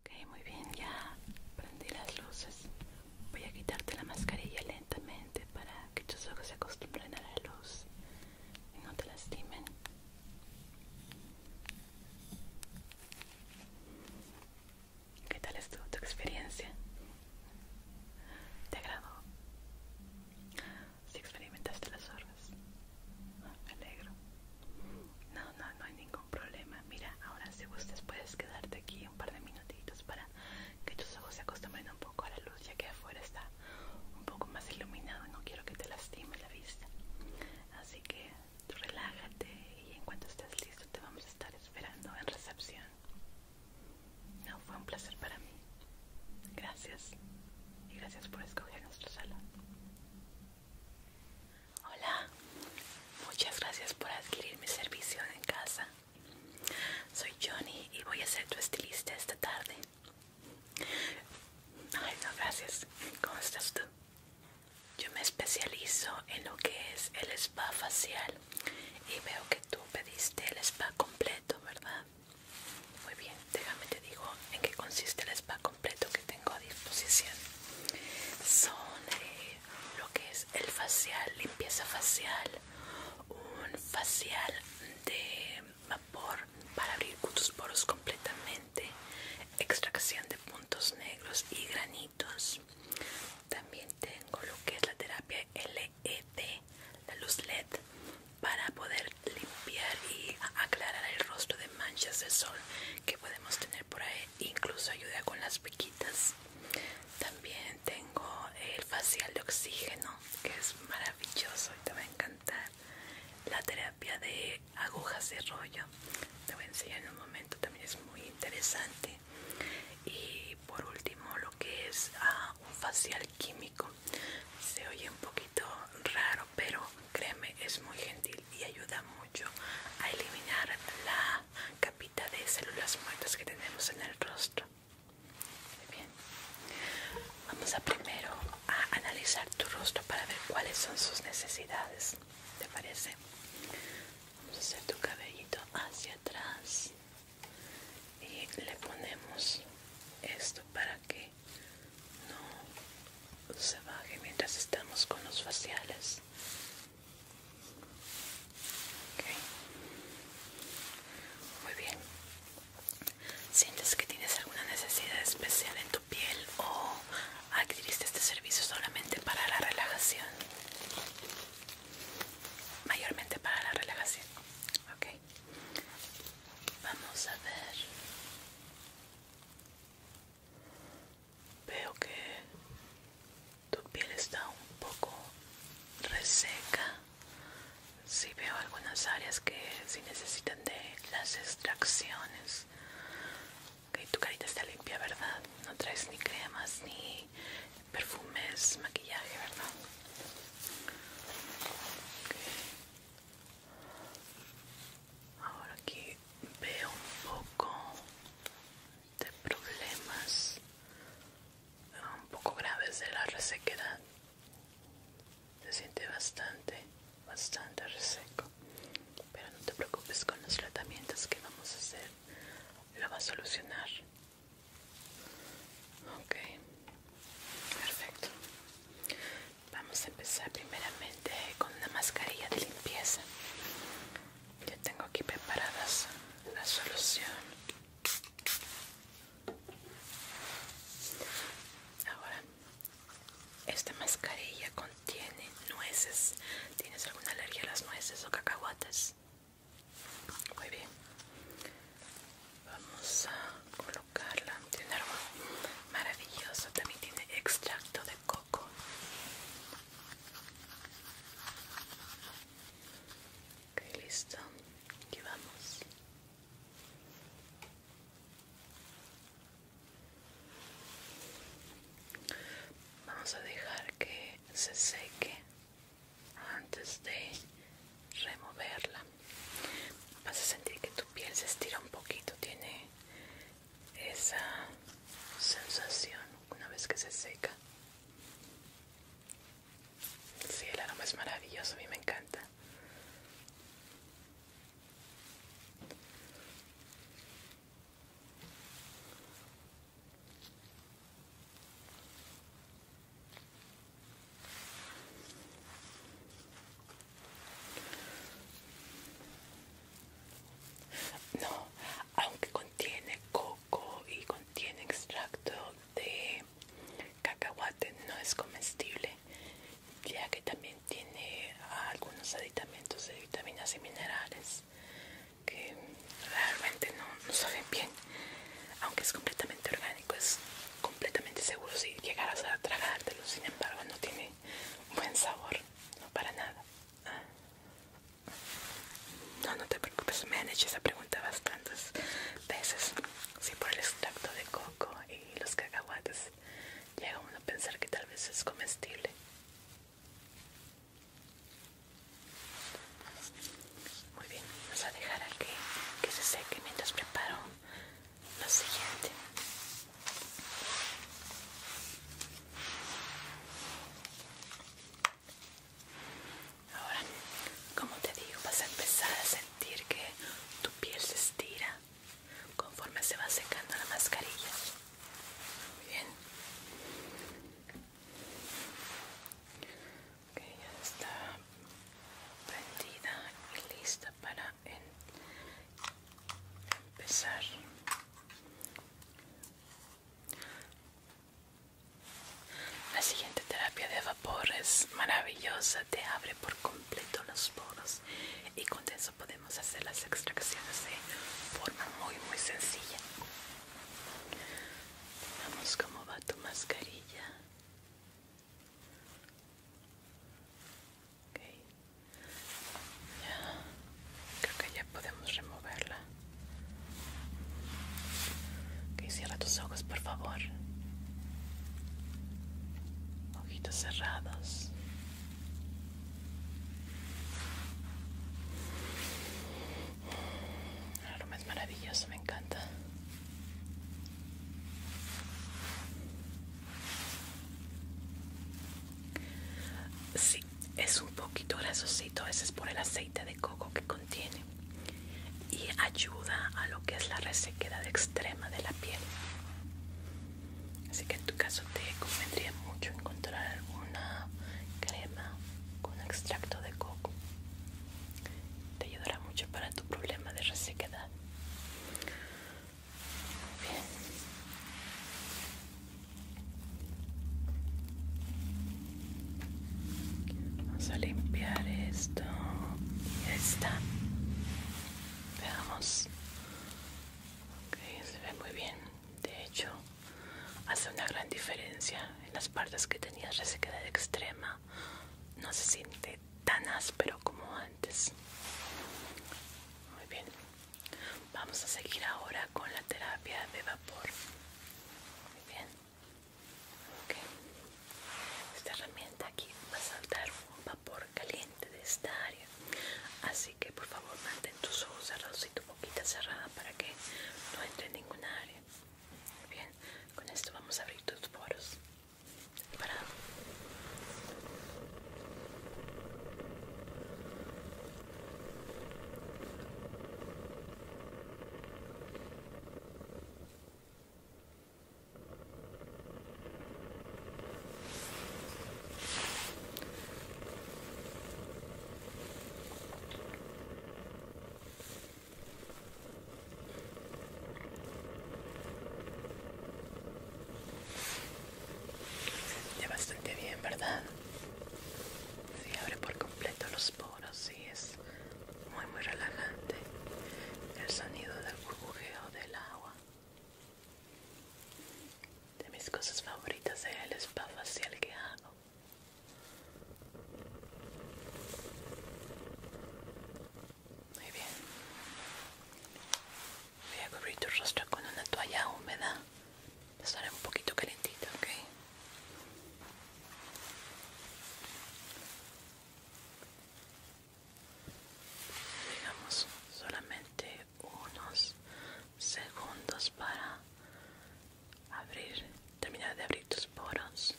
A: Ok, muy bien, ya prendí las luces. Voy a quitarte la mascarilla lentamente para que tus ojos se acostumbren a la luz y no te lastimen. ¿Qué tal es tu experiencia? ¿Te agradó? Si experimentaste las horas? Ah, me alegro. No, no, no hay ningún problema. Mira, ahora si gustas puedes quedarte aquí un par de minutitos para que tus ojos se acostumbren un poco a la luz, ya que afuera está un poco más iluminado. No quiero que te lastime la vista. Así que relájate y en cuanto estés listo te vamos a estar esperando en recepción. No, fue un placer para mí. Gracias. Y gracias por escoger nuestro salón. Hola, muchas gracias por adquirir mi servicio en casa. Soy Johnny y voy a ser tu estilista esta tarde. Ay, no, gracias. ¿Cómo estás tú? Yo me especializo en lo que es el spa facial y veo que tú pediste el spa completo, ¿verdad? Muy bien, déjame te digo en qué consiste el spa completo que tengo a disposición. Son eh, lo que es el facial, limpieza facial, un facial de vapor para abrir tus poros completamente, extracción de puntos negros y granitos. También tengo lo que es la terapia LED, la luz LED, para poder limpiar y aclarar el rostro de manchas de sol que podemos tener por ahí. Incluso ayuda con las pequitas. También tengo el facial de oxígeno, que es maravilloso y te va a encantar. La terapia de agujas de rollo, te voy a enseñar en un momento, también es muy interesante. Y por último, lo que es ah, un facial químico. Se oye un poquito raro, pero créeme, es muy gentil y ayuda mucho a eliminar la de células muertas que tenemos en el rostro. Muy bien. Vamos a primero a analizar tu rostro para ver cuáles son sus necesidades. ¿Te parece? Vamos a hacer tu cabellito hacia atrás y le ponemos esto para que no se baje mientras estamos con los faciales muy bien. ¿Sientes que tienes alguna necesidad especial en tu piel o adquiriste este servicio solamente para la relajación? Mayormente para la relajación. Ok. Vamos a ver. Veo que tu piel está un poco reseca. si veo algunas áreas que si necesitan de las extracciones. que tu carita está limpia, ¿verdad? No traes ni cremas, ni perfumes, maquillaje, ¿verdad? Ahora aquí veo un poco de problemas eh, un poco graves de la resequedad se siente bastante bastante reseco pero no te preocupes con los tratamientos que vamos a hacer lo va a solucionar ok perfecto vamos a empezar primeramente con una mascarilla de limpieza ya tengo aquí preparadas la solución ahora esta mascarilla contiene nueces tienes alguna alergia a las nueces o cacahuates muy bien vamos a colocarla tiene aroma maravilloso también tiene extracto de coco Ok, listo. Aquí vamos. Vamos a dejar que se seque antes de removerla. Vas a sentir que tu piel se estira un poquito, tiene esa sensación una vez que se seca. Sí, el aroma es maravilloso, a mí me encanta. No, aunque contiene coco y contiene extracto de cacahuate no es comestible ya que también tiene algunos aditamentos de vitaminas y minerales que realmente no, no saben bien aunque es completamente orgánico es completamente seguro si llegaras a tragártelo sin embargo no tiene buen sabor no para nada no, no te preocupes, me han hecho esa pregunta bastantes veces. Sí, por el extracto de coco y los cacahuates. Llega uno a pensar que tal vez es comestible. Muy bien, vamos a dejar aquí que se seque mientras preparo lo siguiente. Ahora, como te digo, vas a empezar a sentir que tu piel se estira conforme se va secando la mascarilla. Muy bien. Ok, ya está prendida y lista para empezar. La siguiente terapia de vapor es maravillosa, te abre por completo los poros y con eso podemos hacer las extracciones de forma muy muy sencilla. Vamos cómo va tu mascarilla. Ya, creo que ya podemos removerla. Que Ok, cierra tus ojos, por favor. Ojitos cerrados. El aroma es maravilloso, me encanta es un poquito grasosito, a veces por el aceite de coco que contiene y ayuda a lo que es la resequedad extrema de la piel. Así que en tu caso te convendría mucho encontrar alguna crema con extracto de coco. Te ayudará mucho para tu problema de resequedad. Bien. Vamos a limpiar esto. y esta Veamos. Ok, se ve muy bien. De hecho, hace una gran diferencia. En las partes que tenías resequedad extrema, no se siente tan áspero como antes. Muy bien. Vamos a seguir ahora con la terapia de vapor. Muy bien. Esta herramienta aquí va a saltar un vapor caliente de esta área, así que por favor mantén tus ojos cerrados y tu boquita cerrada para que no entre en ninguna área. Bien, con esto vamos a abrir tus poros. Para se siente bastante bien, ¿verdad? Se abre por completo los poros sí es muy muy relajante el sonido del burbujeo del agua de mis cosas favoritas es el spa facial que hago muy bien voy a cubrir tu rostro con una toalla húmeda estará un poquito calentita ok Digamos solamente unos segundos para abrir, terminar de abrir tus poros.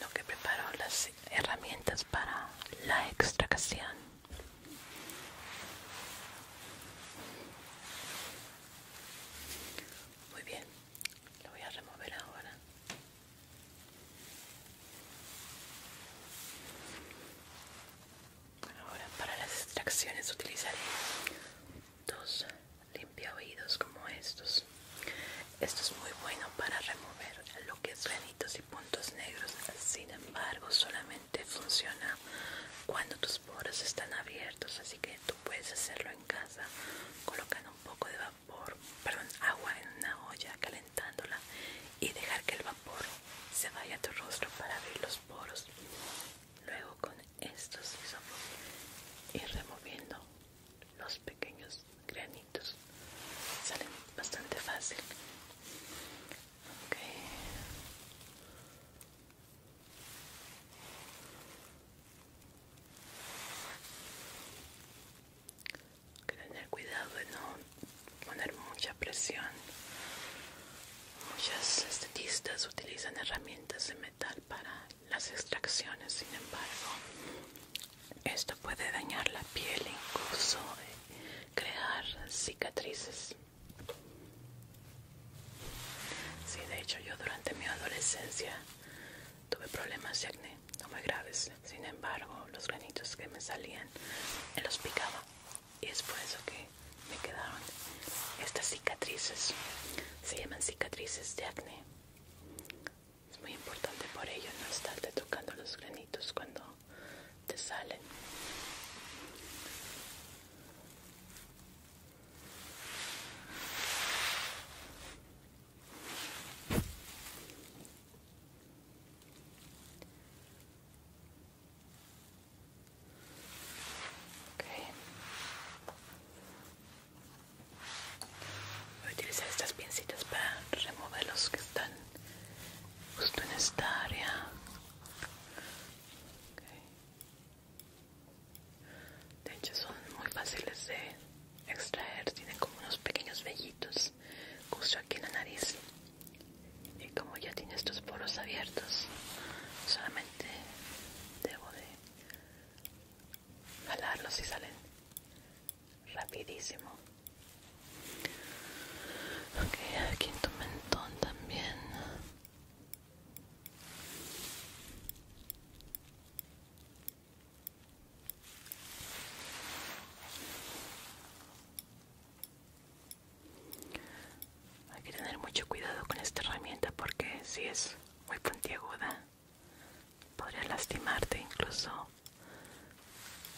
A: lo que preparo las herramientas para la extracción. Muy bien, lo voy a remover ahora. Ahora para las extracciones utilizaré dos limpia como estos. Esto es muy bueno para remover lo que es granitos y puntos negros. Sin embargo, solamente funciona cuando tus poros están abiertos así que tú puedes hacerlo en casa colocando un poco de vapor, perdón, agua en una olla calentándola y dejar que el vapor se vaya a tu rostro para abrir los poros. Luego con estos y ir removiendo los pequeños granitos. Salen bastante fácil. Okay tener cuidado de no poner mucha presión. Muchas estetistas utilizan herramientas de metal para las extracciones, sin embargo, esto puede dañar la piel e incluso eh, crear cicatrices. Sí, de hecho yo durante mi adolescencia Tuve problemas de acné, no muy graves. Sin embargo, los granitos que me salían me los picaba. Y es por eso que me quedaron estas cicatrices. Se llaman cicatrices de acné. Es muy importante por ello no estarte tocando los granitos cuando te salen. Voy a utilizar estas pincitas para remover los que están justo en esta área. De hecho son muy fáciles de extraer, tienen como unos pequeños vellitos justo aquí en la nariz. Y como ya tiene estos poros abiertos, solamente debo de jalarlos y salen rapidísimo. Ok, aquí en tu mentón también. Hay que tener mucho cuidado con esta herramienta porque si es muy puntiaguda podría lastimarte incluso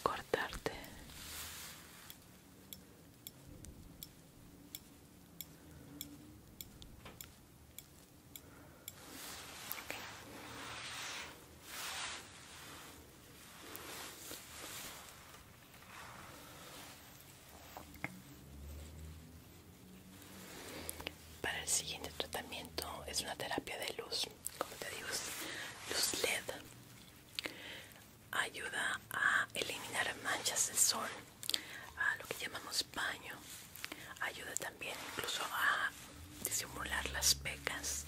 A: cortarte. Para el siguiente tratamiento es una terapia de luz, como te digo, luz LED. Ayuda a eliminar manchas de sol, a lo que llamamos paño ayuda también incluso a disimular las pecas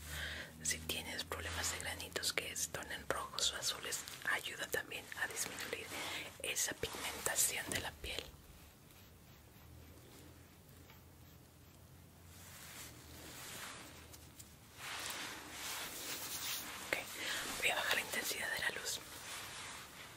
A: si tienes problemas de granitos que se tornen rojos o azules ayuda también a disminuir esa pigmentación de la piel voy a bajar la intensidad de la luz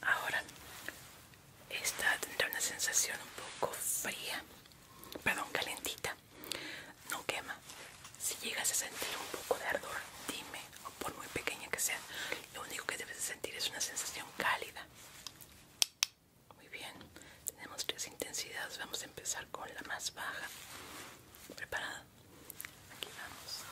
A: Ahora, esta tendrá una sensación un poco fría, perdón, calentita. No quema. Si llegas a sentir un poco de ardor, dime, o por muy pequeña que sea, lo único que debes sentir es una sensación cálida. Muy bien, tenemos tres intensidades. Vamos a empezar con la más baja. ¿Preparada? Aquí vamos.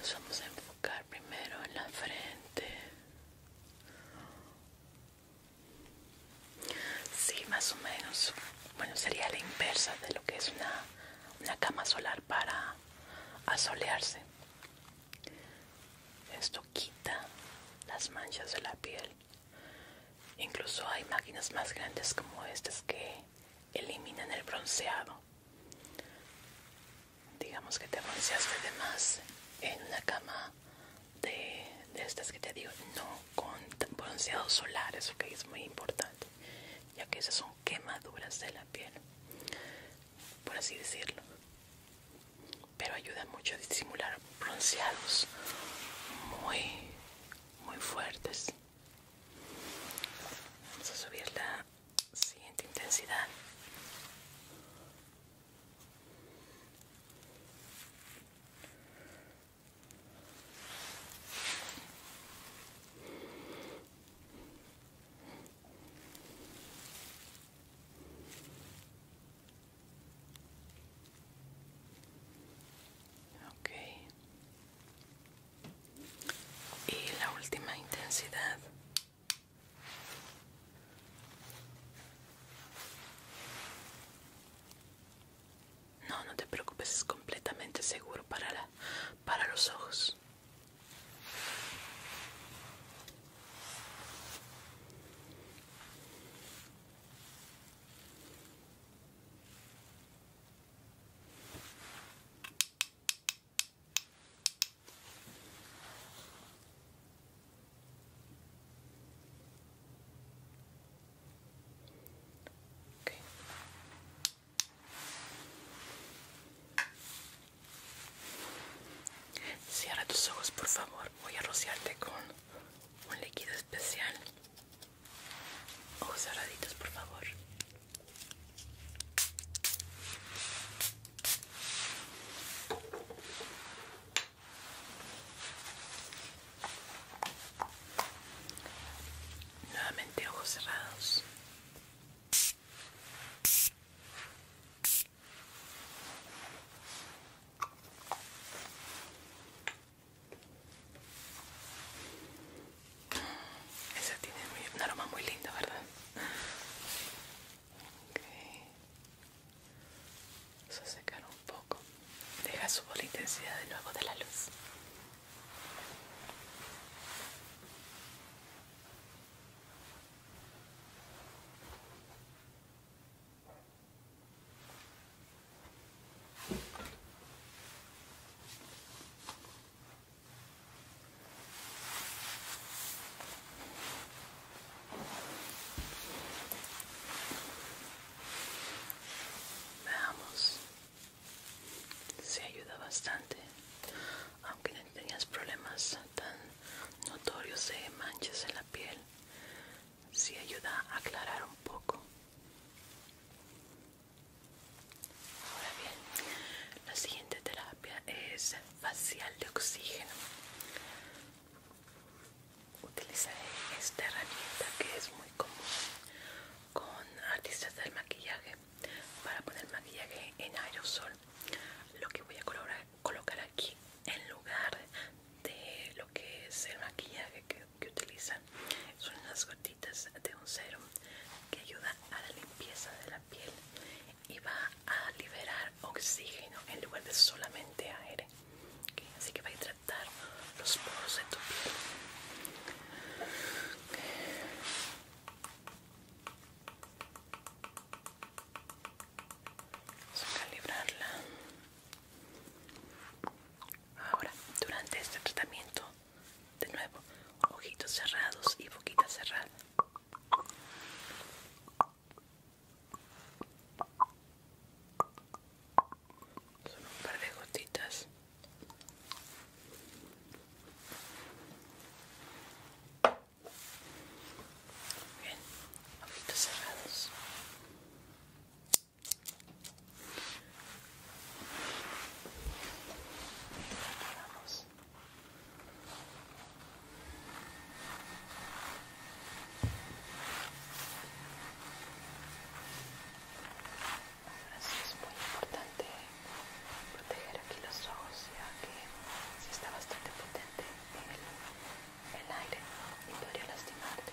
A: Nos vamos a enfocar primero en la frente. Sí, más o menos. Bueno, sería la inversa de lo que es una, una cama solar para asolearse. Esto quita las manchas de la piel. Incluso hay máquinas más grandes como estas que eliminan el bronceado. Digamos que te bronceaste de más en una cama de, estas que te digo, no con bronceados solares, que es muy importante, ya que esas son quemaduras de la piel, por así decirlo. Pero ayuda mucho a disimular bronceados muy muy fuertes. Vamos a subir la siguiente intensidad. Okay y la última intensidad no, no te preocupes, es completamente seguro para, para los ojos. Cierra tus ojos, por favor. Voy a rociarte con un líquido especial. Ojos oh, cerraditos, por favor. Nuevamente ojos cerrados. Esa tiene un aroma muy lindo, ¿verdad? Vamos a secar un poco. Deja su bola intensidad de nuevo de la luz. Veamos. Se ayuda bastante, aunque no tenías problemas tan notorios de manchas en la piel. si ayuda a aclarar un poco. Ahora bien, la siguiente terapia es facial de oxígeno. Utilizaré esta herramienta que es muy común con artistas del maquillaje para poner maquillaje en aerosol. Lo que voy a colocar aquí en lugar de lo que es el maquillaje que que utilizan son unas gotitas de un serum que ayuda a la limpieza de la piel y va a liberar oxígeno en lugar de solamente aire. así que va a hidratar los poros de tu piel. Vamos a calibrarla. Ahora, durante este tratamiento de nuevo, ojitos cerrados y boquita cerrada. Son un par de gotitas. Bien, ojitos cerrados es muy importante proteger aquí los ojos ya que si está bastante potente el, el aire y podría lastimarte.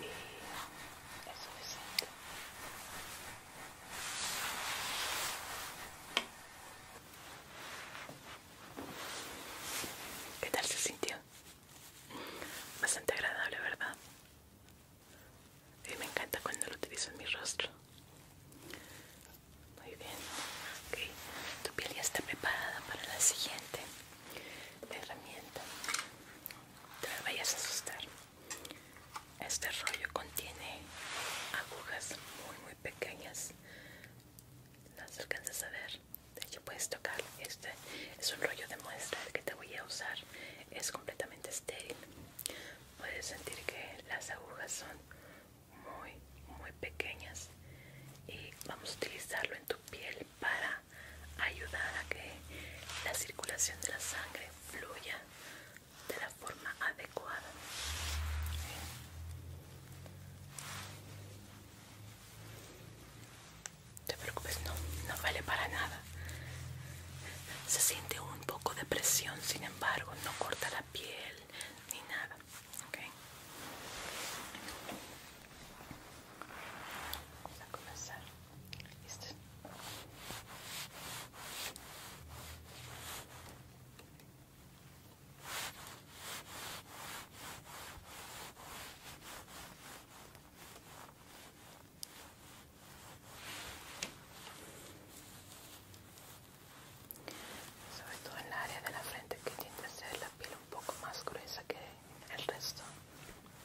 A: y eso es siento ¿Qué tal se sintió? Bastante agradable, ¿verdad? Y me encanta cuando lo utilizo en mi rostro. Muy bien, ok. Tu piel ya está preparada para la siguiente la herramienta. No me vayas a asustar. Este rollo contiene agujas muy muy pequeñas. Las alcanzas a ver. De hecho puedes tocar. Este es un rollo de muestra que te voy a usar. Es completamente estéril. Puedes sentir que las agujas son muy muy pequeñas y vamos a utilizarlo en tu piel para ayudar a que la circulación de la sangre fluya de la forma adecuada. No te preocupes, no, no vale para nada. Se siente un poco de presión, sin embargo, no corta la piel ni nada. Vamos a comenzar. Sobre todo en el área de la frente que tiende a ser la piel un poco más gruesa que el resto.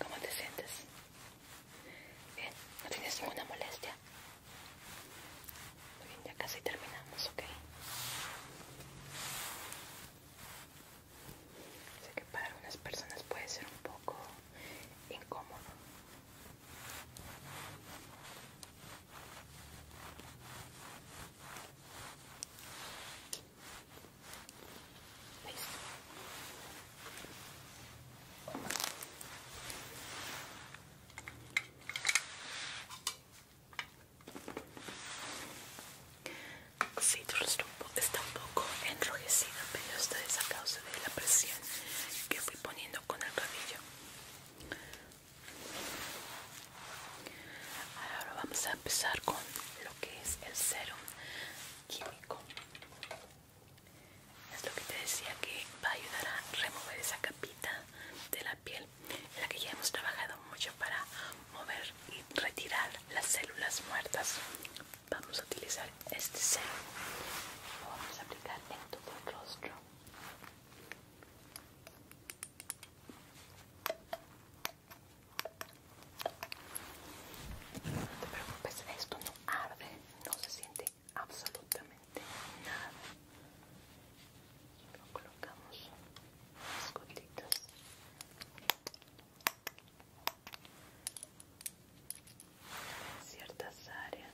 A: ¿Cómo te sientes? Bien, no tienes ninguna molestia bien, ya casi terminamos, ok. Sé que para unas personas puede ser un poco incómodo. Listo. Sí, está un poco enrojecida, pero esta es a causa de la presión que fui poniendo con el cabello Ahora vamos a empezar con lo que es el serum químico es lo que te decía que va a ayudar a remover esa capita de la piel en la que ya hemos trabajado mucho para mover y retirar las células muertas vamos a utilizar este serum vamos a aplicar en todo el rostro no te preocupes esto no arde no se siente absolutamente nada colocamos las en ciertas áreas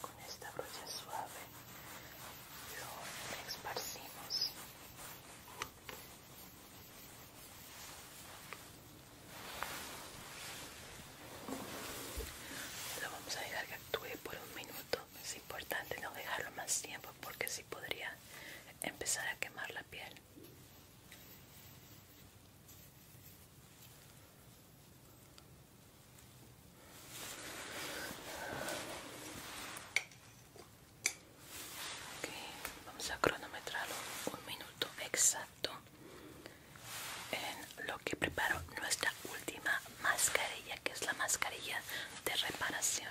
A: con esta brocha suave lo esparcimos lo vamos a dejar que actúe por un minuto es importante no dejarlo más tiempo porque si podría empezar a quemar la piel vamos a cronometrarlo un minuto exacto en lo que preparo nuestra última mascarilla que es la mascarilla de reparación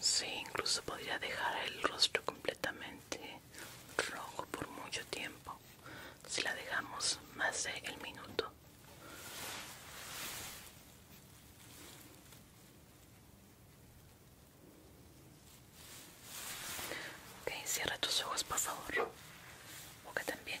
A: Sí, incluso podría dejar el rostro completamente rojo por mucho tiempo si la dejamos más de el minuto. Ok, cierra tus ojos por favor. Boca también.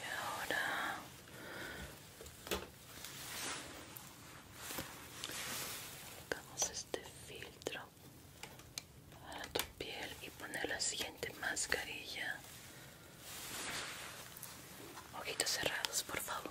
A: Y ahora colocamos este filtro a tu piel y poner la siguiente mascarilla. Ojitos cerrados, por favor.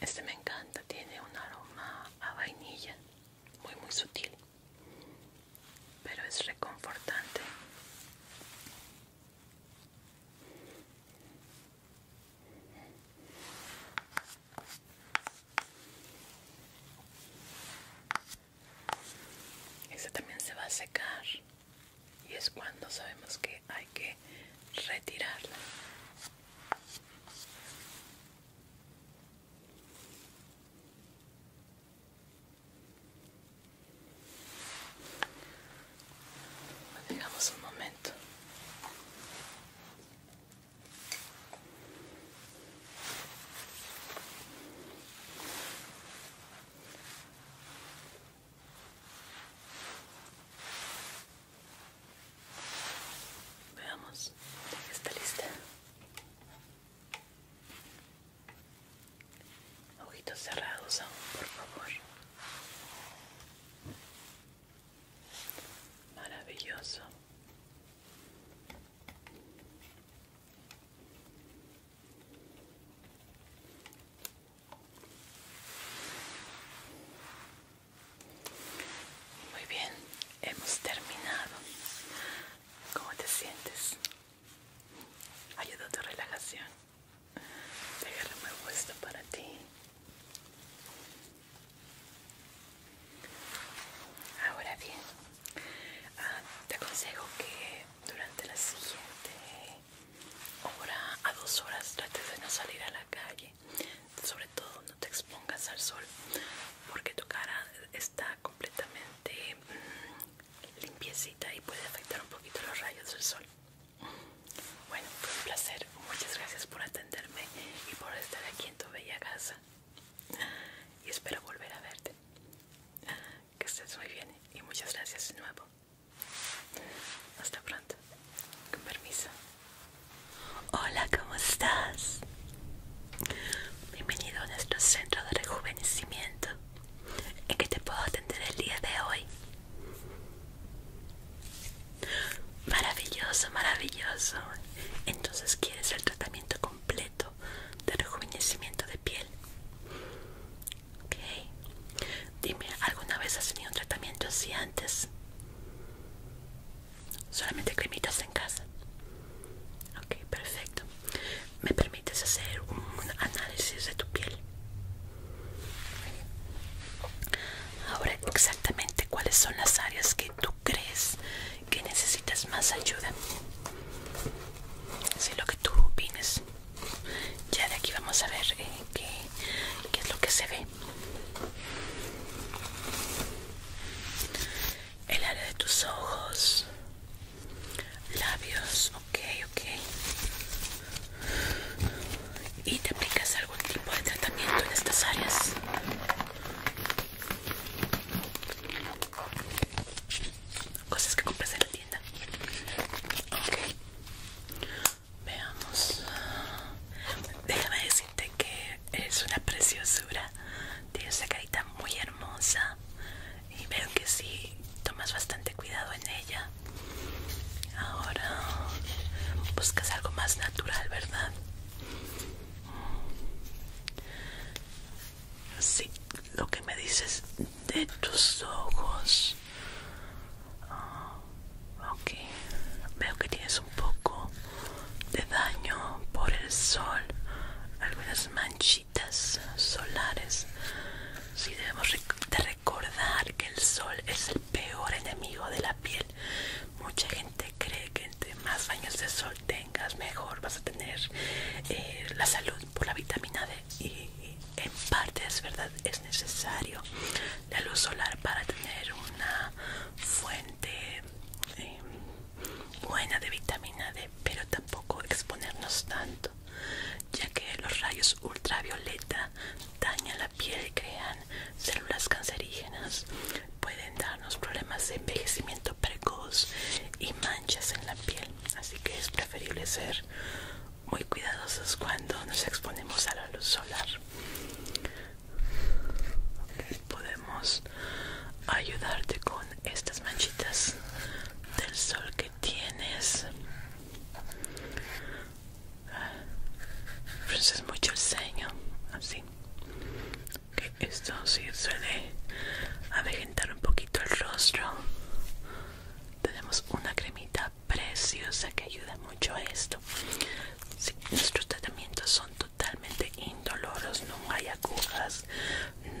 A: Este me encanta, tiene un aroma a vainilla, muy muy sutil, pero es reconfortante. Este también se va a secar y es cuando sabemos que hay que retirarla. un momento. Veamos, está lista. Ojitos cerrados por favor. Maravilloso. Muy bien, hemos terminado. ¿Cómo te sientes? Ayuda a tu relajación. Déjame esto para ti. Ahora bien, ah, te aconsejo que durante la siguiente hora a dos horas trates de no salir a la calle sobre todo no te expongas al sol porque tu cara está completamente mm, limpiecita y puede afectar un poquito los rayos del sol bueno fue un placer muchas gracias por atenderme y por estar aquí en tu bella casa y espero volver a verte que estés muy bien y muchas gracias de nuevo hasta pronto con permiso Hola, ¿cómo estás? Bienvenido a nuestro centro de rejuvenecimiento. ¿En qué te puedo atender el día de hoy? Maravilloso, maravilloso. Entonces quieres el tratamiento completo de rejuvenecimiento de piel. Ok. Dime, ¿alguna vez has tenido un tratamiento así antes? Solamente cremitas en casa. Ok, perfecto. ¿Me permites hacer un análisis de tu piel? Ahora exactamente cuáles son las áreas que tú crees que necesitas más ayuda. Si lo que tú opines. Ya de aquí vamos a ver que... Eh, qué qué es lo que se ve el área de tus ojos labios ok ok y te aplicas algún tipo de tratamiento en estas áreas cosas que compras en la tienda ok Veamos. Déjame decirte que es una preciosura. Tienes esa carita muy hermosa. Y veo que sí, tomas bastante cuidado en ella. Ahora buscas algo más natural, ¿verdad? Mm. Sí, lo que me dices de tus ojos. Ah, ok, veo que tienes un poco de daño por el sol, algunas manchitas solares. Si debemos de recordar que el sol es el peor enemigo de la piel. Mucha gente cree que entre más baños de sol tengas, mejor vas a tener eh, la salud por la vitamina D. Y en parte es verdad, es necesario la luz solar para tener una fuente eh, buena de vitamina D, pero tampoco exponernos tanto, ya que los rayos ultravioleta dañan la piel y crean células cancerígenas, pueden darnos problemas de envejecimiento precoz y manchas en la piel, así que es preferible ser muy cuidadosos cuando nos exponemos a la luz solar podemos ayudarte con estas manchitas del sol que tienes. Pues es mucho el ceño, así. Que esto sí suele avejentar un poquito el rostro. Tenemos una cremita preciosa que ayuda mucho a esto nuestros tratamientos son totalmente indoloros, no hay agujas,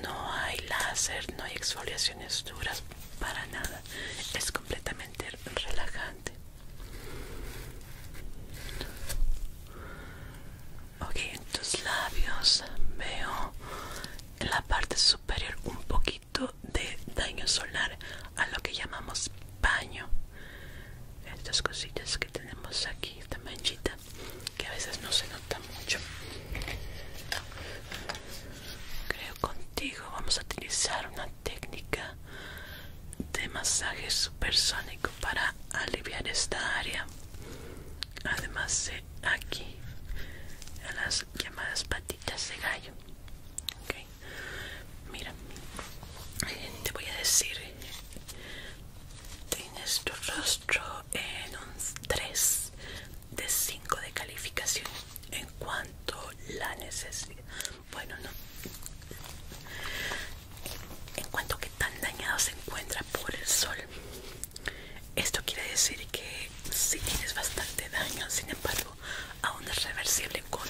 A: no hay láser, no hay exfoliaciones duras, para nada. Es completamente relajante. Ok, en tus labios veo en la parte superior un poquito de daño solar a lo que llamamos paño estas cositas que tenemos aquí esta manchita que a veces no se nota mucho creo contigo vamos a utilizar una técnica de masaje supersónico para aliviar esta área además de aquí a las llamadas patitas de gallo Mira, te voy a decir, tienes tu rostro en un 3 de 5 de calificación en cuanto la necesidad. Bueno, no. En cuanto que tan dañado se encuentra por el sol. Esto quiere decir que si tienes bastante daño, sin embargo, aún es reversible con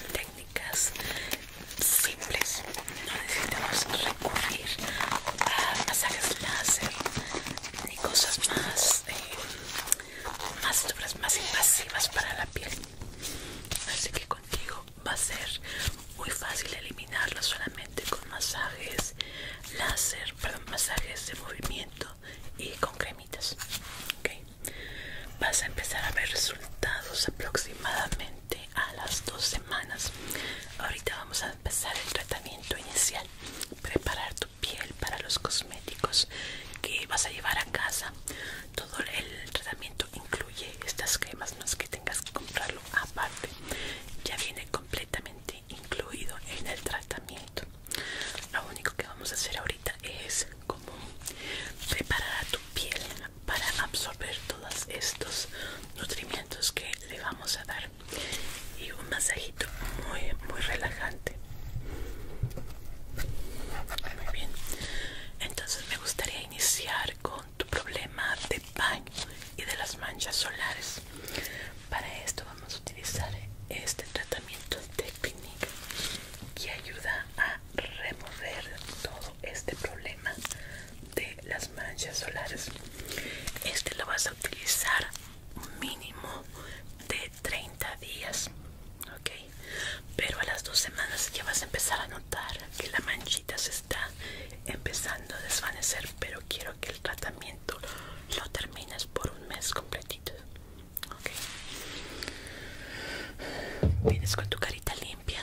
A: simples no necesitamos recurrir a masajes láser ni cosas más eh, más duras más invasivas para la piel así que contigo va a ser muy fácil eliminarlo solamente con masajes láser perdón masajes de movimiento y con cremitas ok vas a empezar a ver resultados aproximadamente a las dos semanas. Ahorita vamos a empezar el tratamiento inicial. Preparar tu piel para los cosméticos que vas a llevar a casa. Todo el tratamiento incluye estas cremas, no es que tengas que comprarlo aparte. Ya viene completamente incluido en el tratamiento. Lo único que vamos a hacer ahorita es como preparar tu piel para absorber todos estos nutrimientos que le vamos a dar y un masajito muy muy relajante muy bien entonces me gustaría iniciar con tu problema de baño y de las manchas solares para esto vamos a utilizar este tratamiento de Clinique que ayuda a remover todo este problema de las manchas solares este lo vas a utilizar mínimo de 30 días ok pero a las dos semanas ya vas a empezar a notar que la manchita se está empezando a desvanecer pero quiero que el tratamiento lo termines por un mes completito vienes con tu carita limpia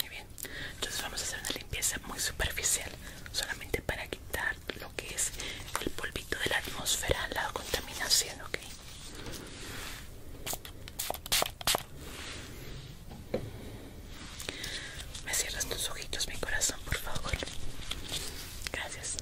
A: muy bien, entonces vamos a hacer una limpieza muy superficial, solamente para quitar lo que es el polvito de la atmósfera, la contaminación, ¿ok? Me cierras tus ojitos, mi corazón, por favor. Gracias.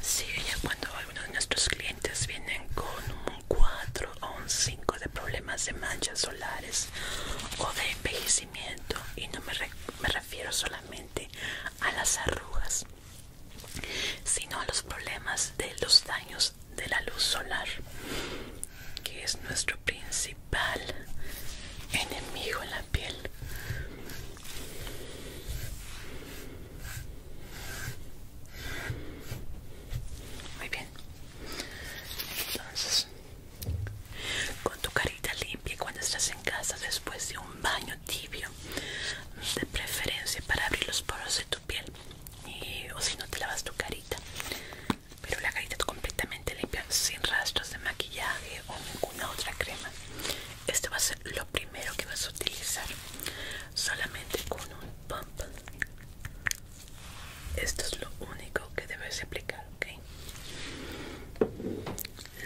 A: Sí, ya cuando algunos de nuestros clientes vienen con un 4 o un 5 de problemas de manchas solares o de envejecimiento, y no me, me refiero solamente a las arrugas, sino a los problemas de los daños de la luz solar, que es nuestro principal enemigo en la piel. Muy bien. Entonces, con tu carita limpia cuando estás en casa después de un baño tibio, de preferencia para abrir los poros de tu piel. Eh, o si no te lavas tu carita pero la carita completamente limpia sin rastros de maquillaje o ninguna otra crema esto va a ser lo primero que vas a utilizar solamente con un pump esto es lo único que debes aplicar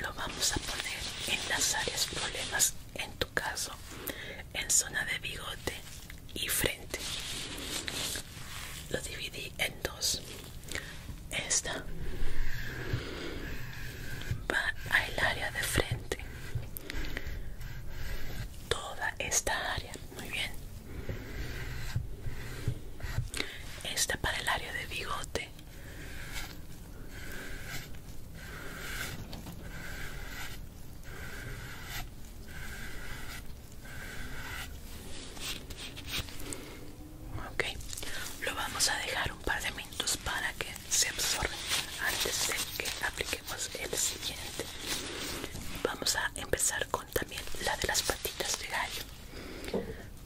A: lo vamos a poner en las áreas problemas en tu caso en zona de bigote y frente. Lo dividí en dos. Esta va al área de frente. Toda esta área. Muy bien. Esta para el área de bigote. Ok, lo vamos a dejar un par de minutos para que se absorbe antes de que apliquemos el siguiente. Vamos a empezar con también la de las patitas de gallo.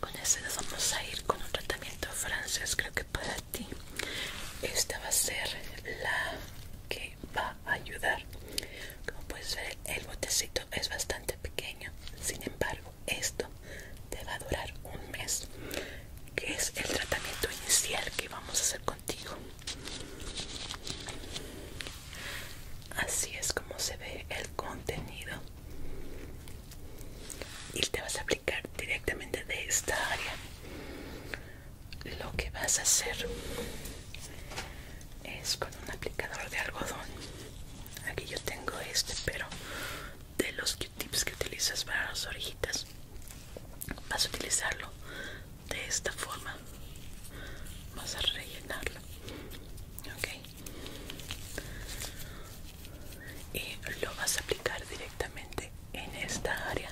A: Con ese vamos a ir con un tratamiento francés, creo que para ti. Esta va a ser la que va a ayudar como puedes ver el botecito es bastante pequeño sin embargo esto te va a durar un mes que es el tratamiento inicial que vamos a hacer contigo así es como se ve el contenido y te vas a aplicar directamente de esta área lo que vas a hacer es con un aplicador de algodón aquí yo tengo este pero de los Q-tips que utilizas para las orejitas vas a utilizarlo de esta forma vas a rellenarlo ok y lo vas a aplicar directamente en esta área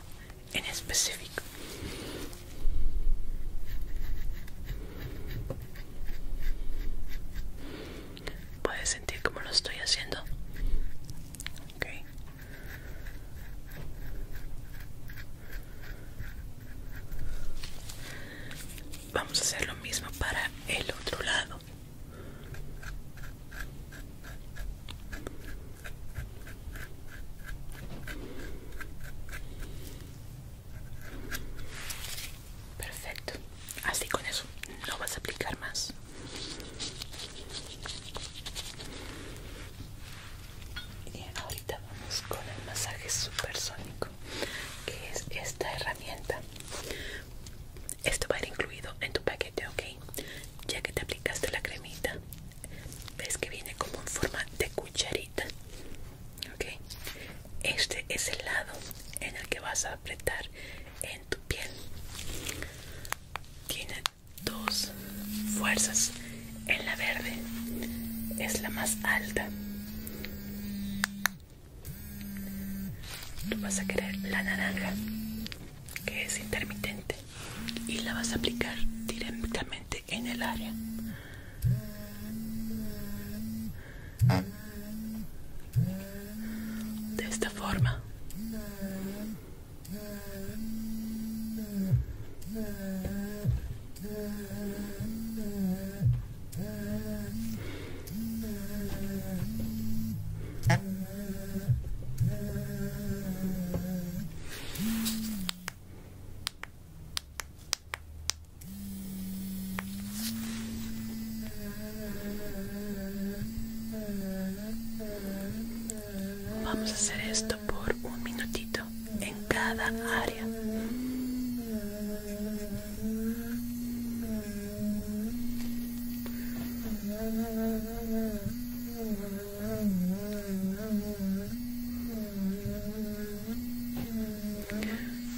A: en específico Puedes sentir cómo lo estoy haciendo. Ok. Vamos a hacer lo mismo para el otro lado. Perfecto. Así con eso. No vas a aplicar más. Y ahorita vamos con el masaje supersónico, que es esta herramienta. Esto va a ir incluido en tu paquete, ¿ok? Ya que te aplicaste la cremita, ves que viene como en forma de cucharita ok este es el lado en el que vas a apretar en tu piel tiene dos fuerzas en la verde es la más alta tú vas a querer la naranja que es intermitente y la vas a aplicar directamente en el área. De esta forma. Vamos a hacer esto por un minutito en cada área.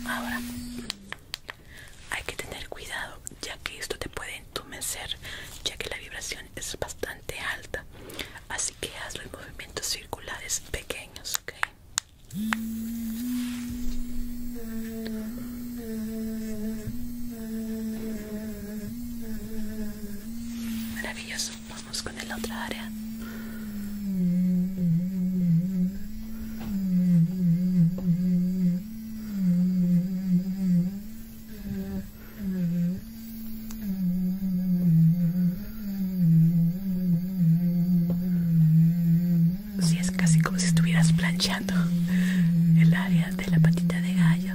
A: Ahora hay que tener cuidado ya que esto te puede entumecer ya que la vibración es bastante alta. Así que hazlo los movimientos circulares pequeños, ¿ok? Maravilloso con el otro área si es casi como si estuvieras planchando el área de la patita de gallo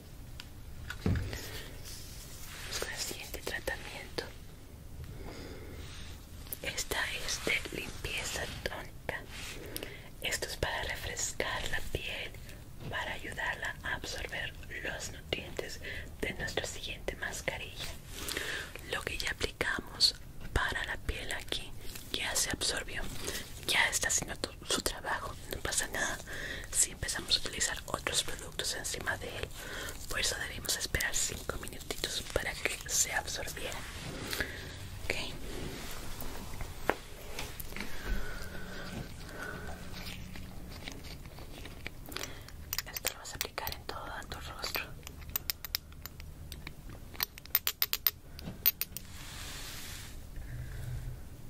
A: Vamos con el siguiente tratamiento. Esta es de limpieza tónica. Esto es para refrescar la piel, para ayudarla a absorber los nutrientes de nuestra siguiente mascarilla. Lo que ya aplicamos para la piel aquí ya se absorbió, ya está siendo su trabajo, no pasa nada si empezamos a utilizar otros productos encima de él. Por eso debemos esperar 5 minutitos para que se absorbiera. ok Esto lo vas a aplicar en todo tu rostro.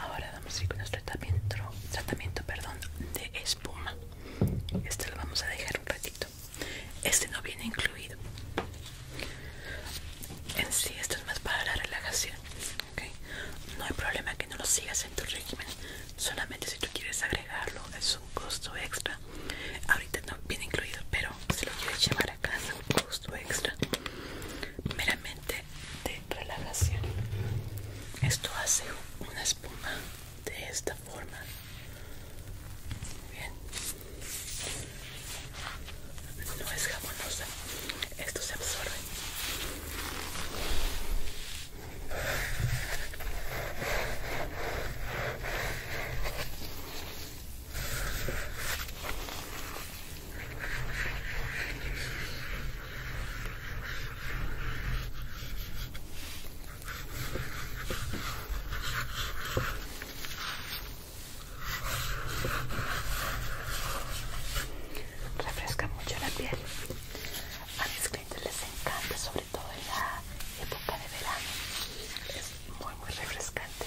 A: Ahora vamos a ir con nuestro tratamiento, tratamiento perdón, de espuma. Este lo vamos a dejar un ratito. Este no viene incluido. En sí, esto es más para la relajación. No hay problema que no lo sigas en tu régimen. Solamente si tú quieres agregarlo, es un costo extra. Ahorita no viene incluido, pero si lo quieres llevar a casa, un costo extra. Meramente de relajación. Esto hace una espuma de esta forma bien no es jabonosa esto se absorbe Refresca mucho la piel. A mis clientes les encanta, sobre todo en la época de verano. Es muy, muy refrescante.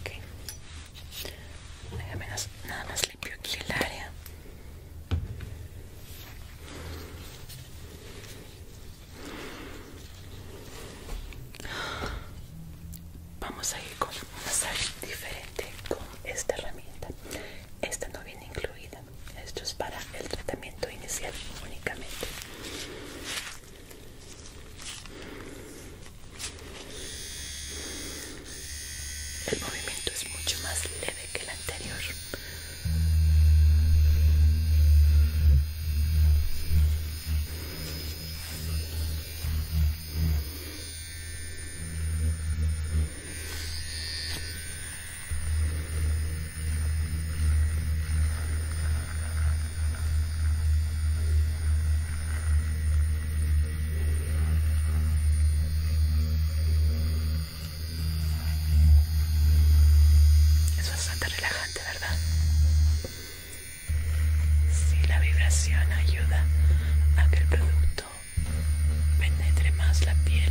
A: Ok, nada más limpio aquí el área. Vamos a ir con un masaje diferente con esta herramienta. Esta no viene incluida. Esto es para el tratamiento inicial únicamente. El movimiento es mucho más leve que el anterior. Es bastante relajante, ¿verdad? Si sí, la vibración ayuda a que el producto penetre más la piel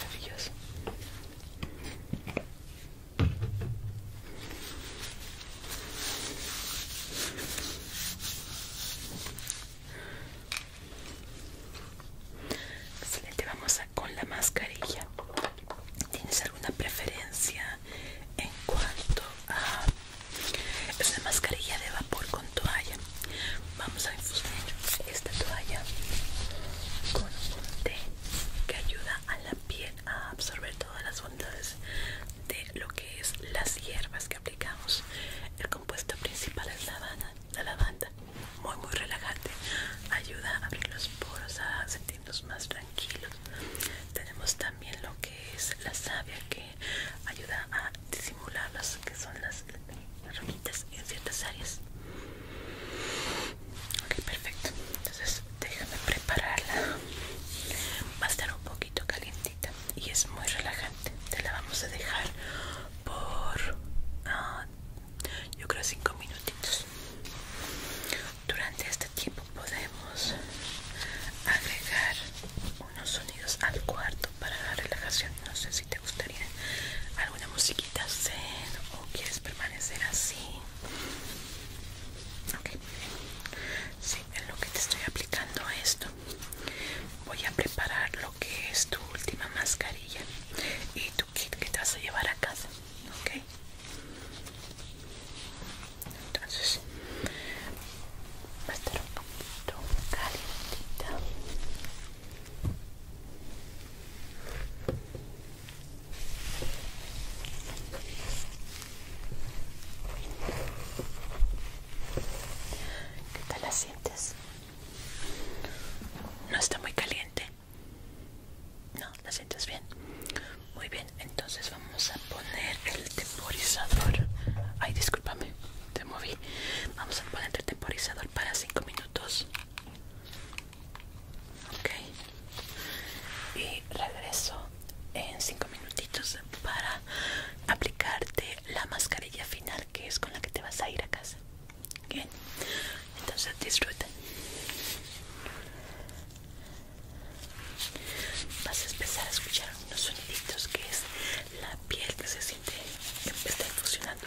A: Maravilloso. Excelente, vamos a con la mascarilla. ¿Tienes alguna preferencia en cuanto a.? esa mascarilla de vapor con toalla. Vamos a infusionar esta toalla con un té que ayuda a la piel a absorber todas las bondades de lo que es las hierbas que aplicamos. El compuesto principal es la lavanda, la lavanda, muy muy relajante, ayuda a abrir los poros, a más tranquilos. Tenemos también lo que es la savia que ayuda a disimular las que son las, ramitas en ciertas áreas. Ok, perfecto. Entonces déjame prepararla. Va a estar un poquito calientita y es muy relajante. Te la vamos a dejar por... Ah, yo creo cinco minutitos durante este tiempo podemos agregar unos sonidos al cuarto para la relajación. No sé si te gustaría alguna musiquita zen o quieres permanecer así. Okay. sí, en lo que te estoy aplicando a esto, voy a preparar lo que es tu última mascarilla y tu kit que te vas a llevar a casa. Ok entonces va a estar un poquito calientita ¿Qué tal la sientes? No está muy caliente. No, ¿la sientes bien? Muy bien, entonces vamos a poner el temporizador. Ay, discúlpame, te moví. Vamos a poner el temporizador para cinco minutos. Ok. Y regreso en cinco minutitos para aplicarte la mascarilla final que es con la que te vas a ir a casa. Bien, entonces disfruta vas a empezar a escuchar unos soniditos que es la piel que se siente que está funcionando.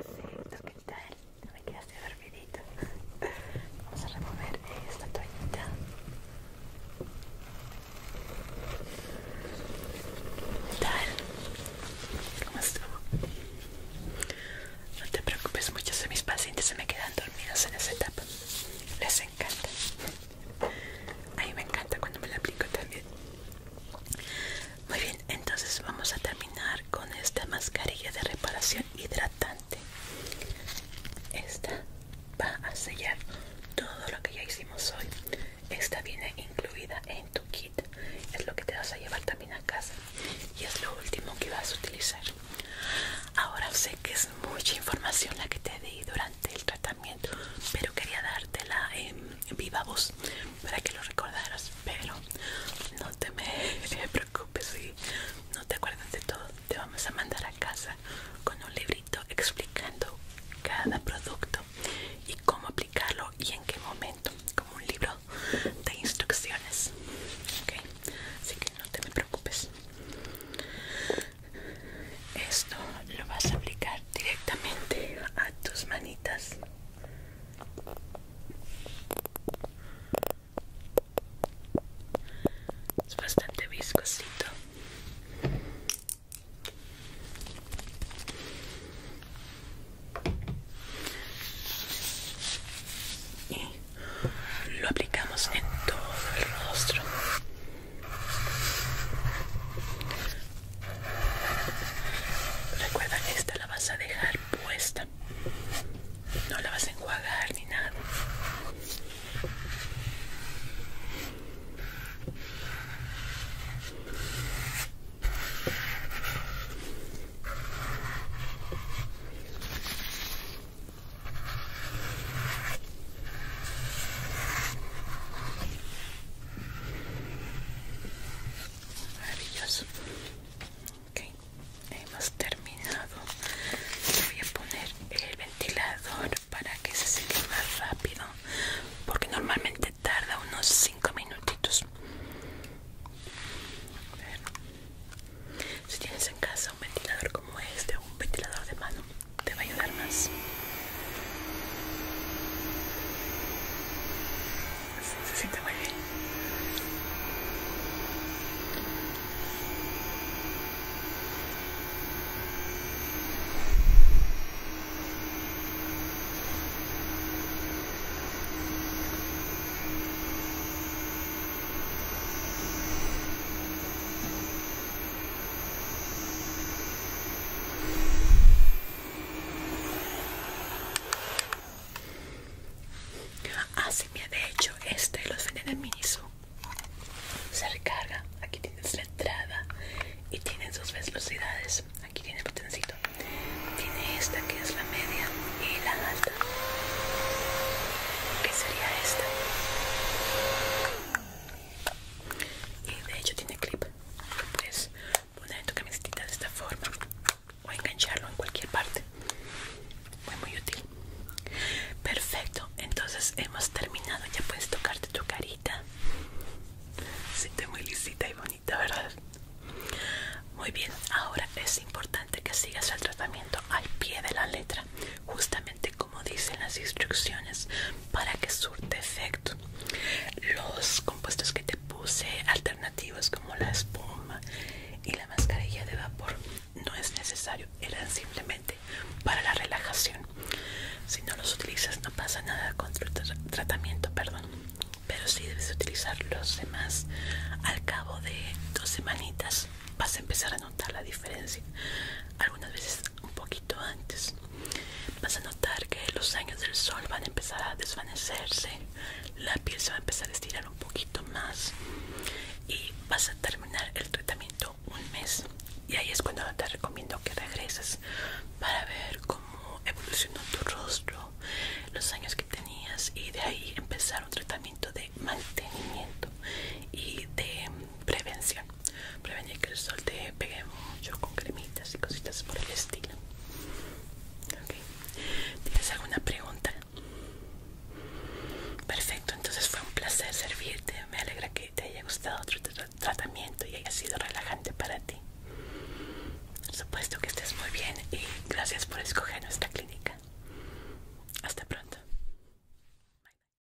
A: Perfecto, ¿qué tal? No me quedaste dormidito. Vamos a remover esta toallita. ¿Qué tal? ¿Cómo estuvo? No te preocupes, mucho, si mis pacientes se me quedan dormidos en esa etapa les encanta. A mí me encanta cuando me la aplico también. Muy bien, entonces vamos a terminar con esta mascarilla de reparación hidratante. Esta va a sellar todo lo que ya hicimos hoy. Esta viene incluida en tu kit. Es lo que te vas a llevar también a casa. Y es lo último que vas a utilizar. Ahora sé que es mucha información la que te di durante el tratamiento, pero quería dártela en viva voz para que lo recordaras. Pero no te me preocupes si no te acuerdas de todo. Te vamos a mandar a casa con un librito explicando cada producto y cómo aplicarlo y en qué momento, como un libro de instrucciones. ¿Okay? Así que no te me preocupes esto lo vas a aplicar directamente a tus manitas. Es bastante viscosito. Y lo aplicamos en todo el rostro. Recuerda que esta la vas a dejar puesta. No la vas a enjuagar ni nada. Maravilloso. Ok, hemos terminado. voy a poner el ventilador para que se seque más rápido, porque normalmente tarda unos 5 minutitos. Si tienes en casa un ventilador como este o un ventilador de mano, te va a ayudar más. Se siente muy bien. Así ah, me ha hecho este los venden en Miniso. Se recarga. Aquí tienes la entrada y tienen sus velocidades. Aquí tiene el botoncito. Tiene esta que es la media y la alta. Que sería esta y de hecho tiene clip puedes poner en tu camiseta de esta forma o engancharlo en cualquier parte muy muy útil perfecto entonces hemos terminado ya puedes tocarte tu carita se te muy lisita y bonita verdad muy bien ahora es importante que sigas el tratamiento al pie de la letra justamente como dicen las instrucciones para que surte efecto los compuestos que te puse alternativos como la espuma y la mascarilla de vapor no es necesario eran simplemente para la relajación si no los utilizas no pasa nada con tu tratamiento perdón pero si debes utilizar los demás al cabo de dos semanitas vas a empezar a notar la diferencia algunas veces un poquito antes, vas a notar que los años del sol van a empezar a desvanecerse, la piel se va a empezar a estirar un poquito más y vas a terminar el tratamiento un mes. Y ahí es cuando te recomiendo que regreses para ver cómo evolucionó tu rostro, los años que tenías y de ahí empezar un tratamiento de mantenimiento y de prevención prevenir que el sol te pegue mucho con cremitas y cositas por el estilo ¿tienes alguna pregunta? perfecto, entonces fue un placer servirte me alegra que te haya gustado otro tratamiento y haya sido relajante para ti por supuesto que estés muy bien y gracias por escoger nuestra clínica hasta pronto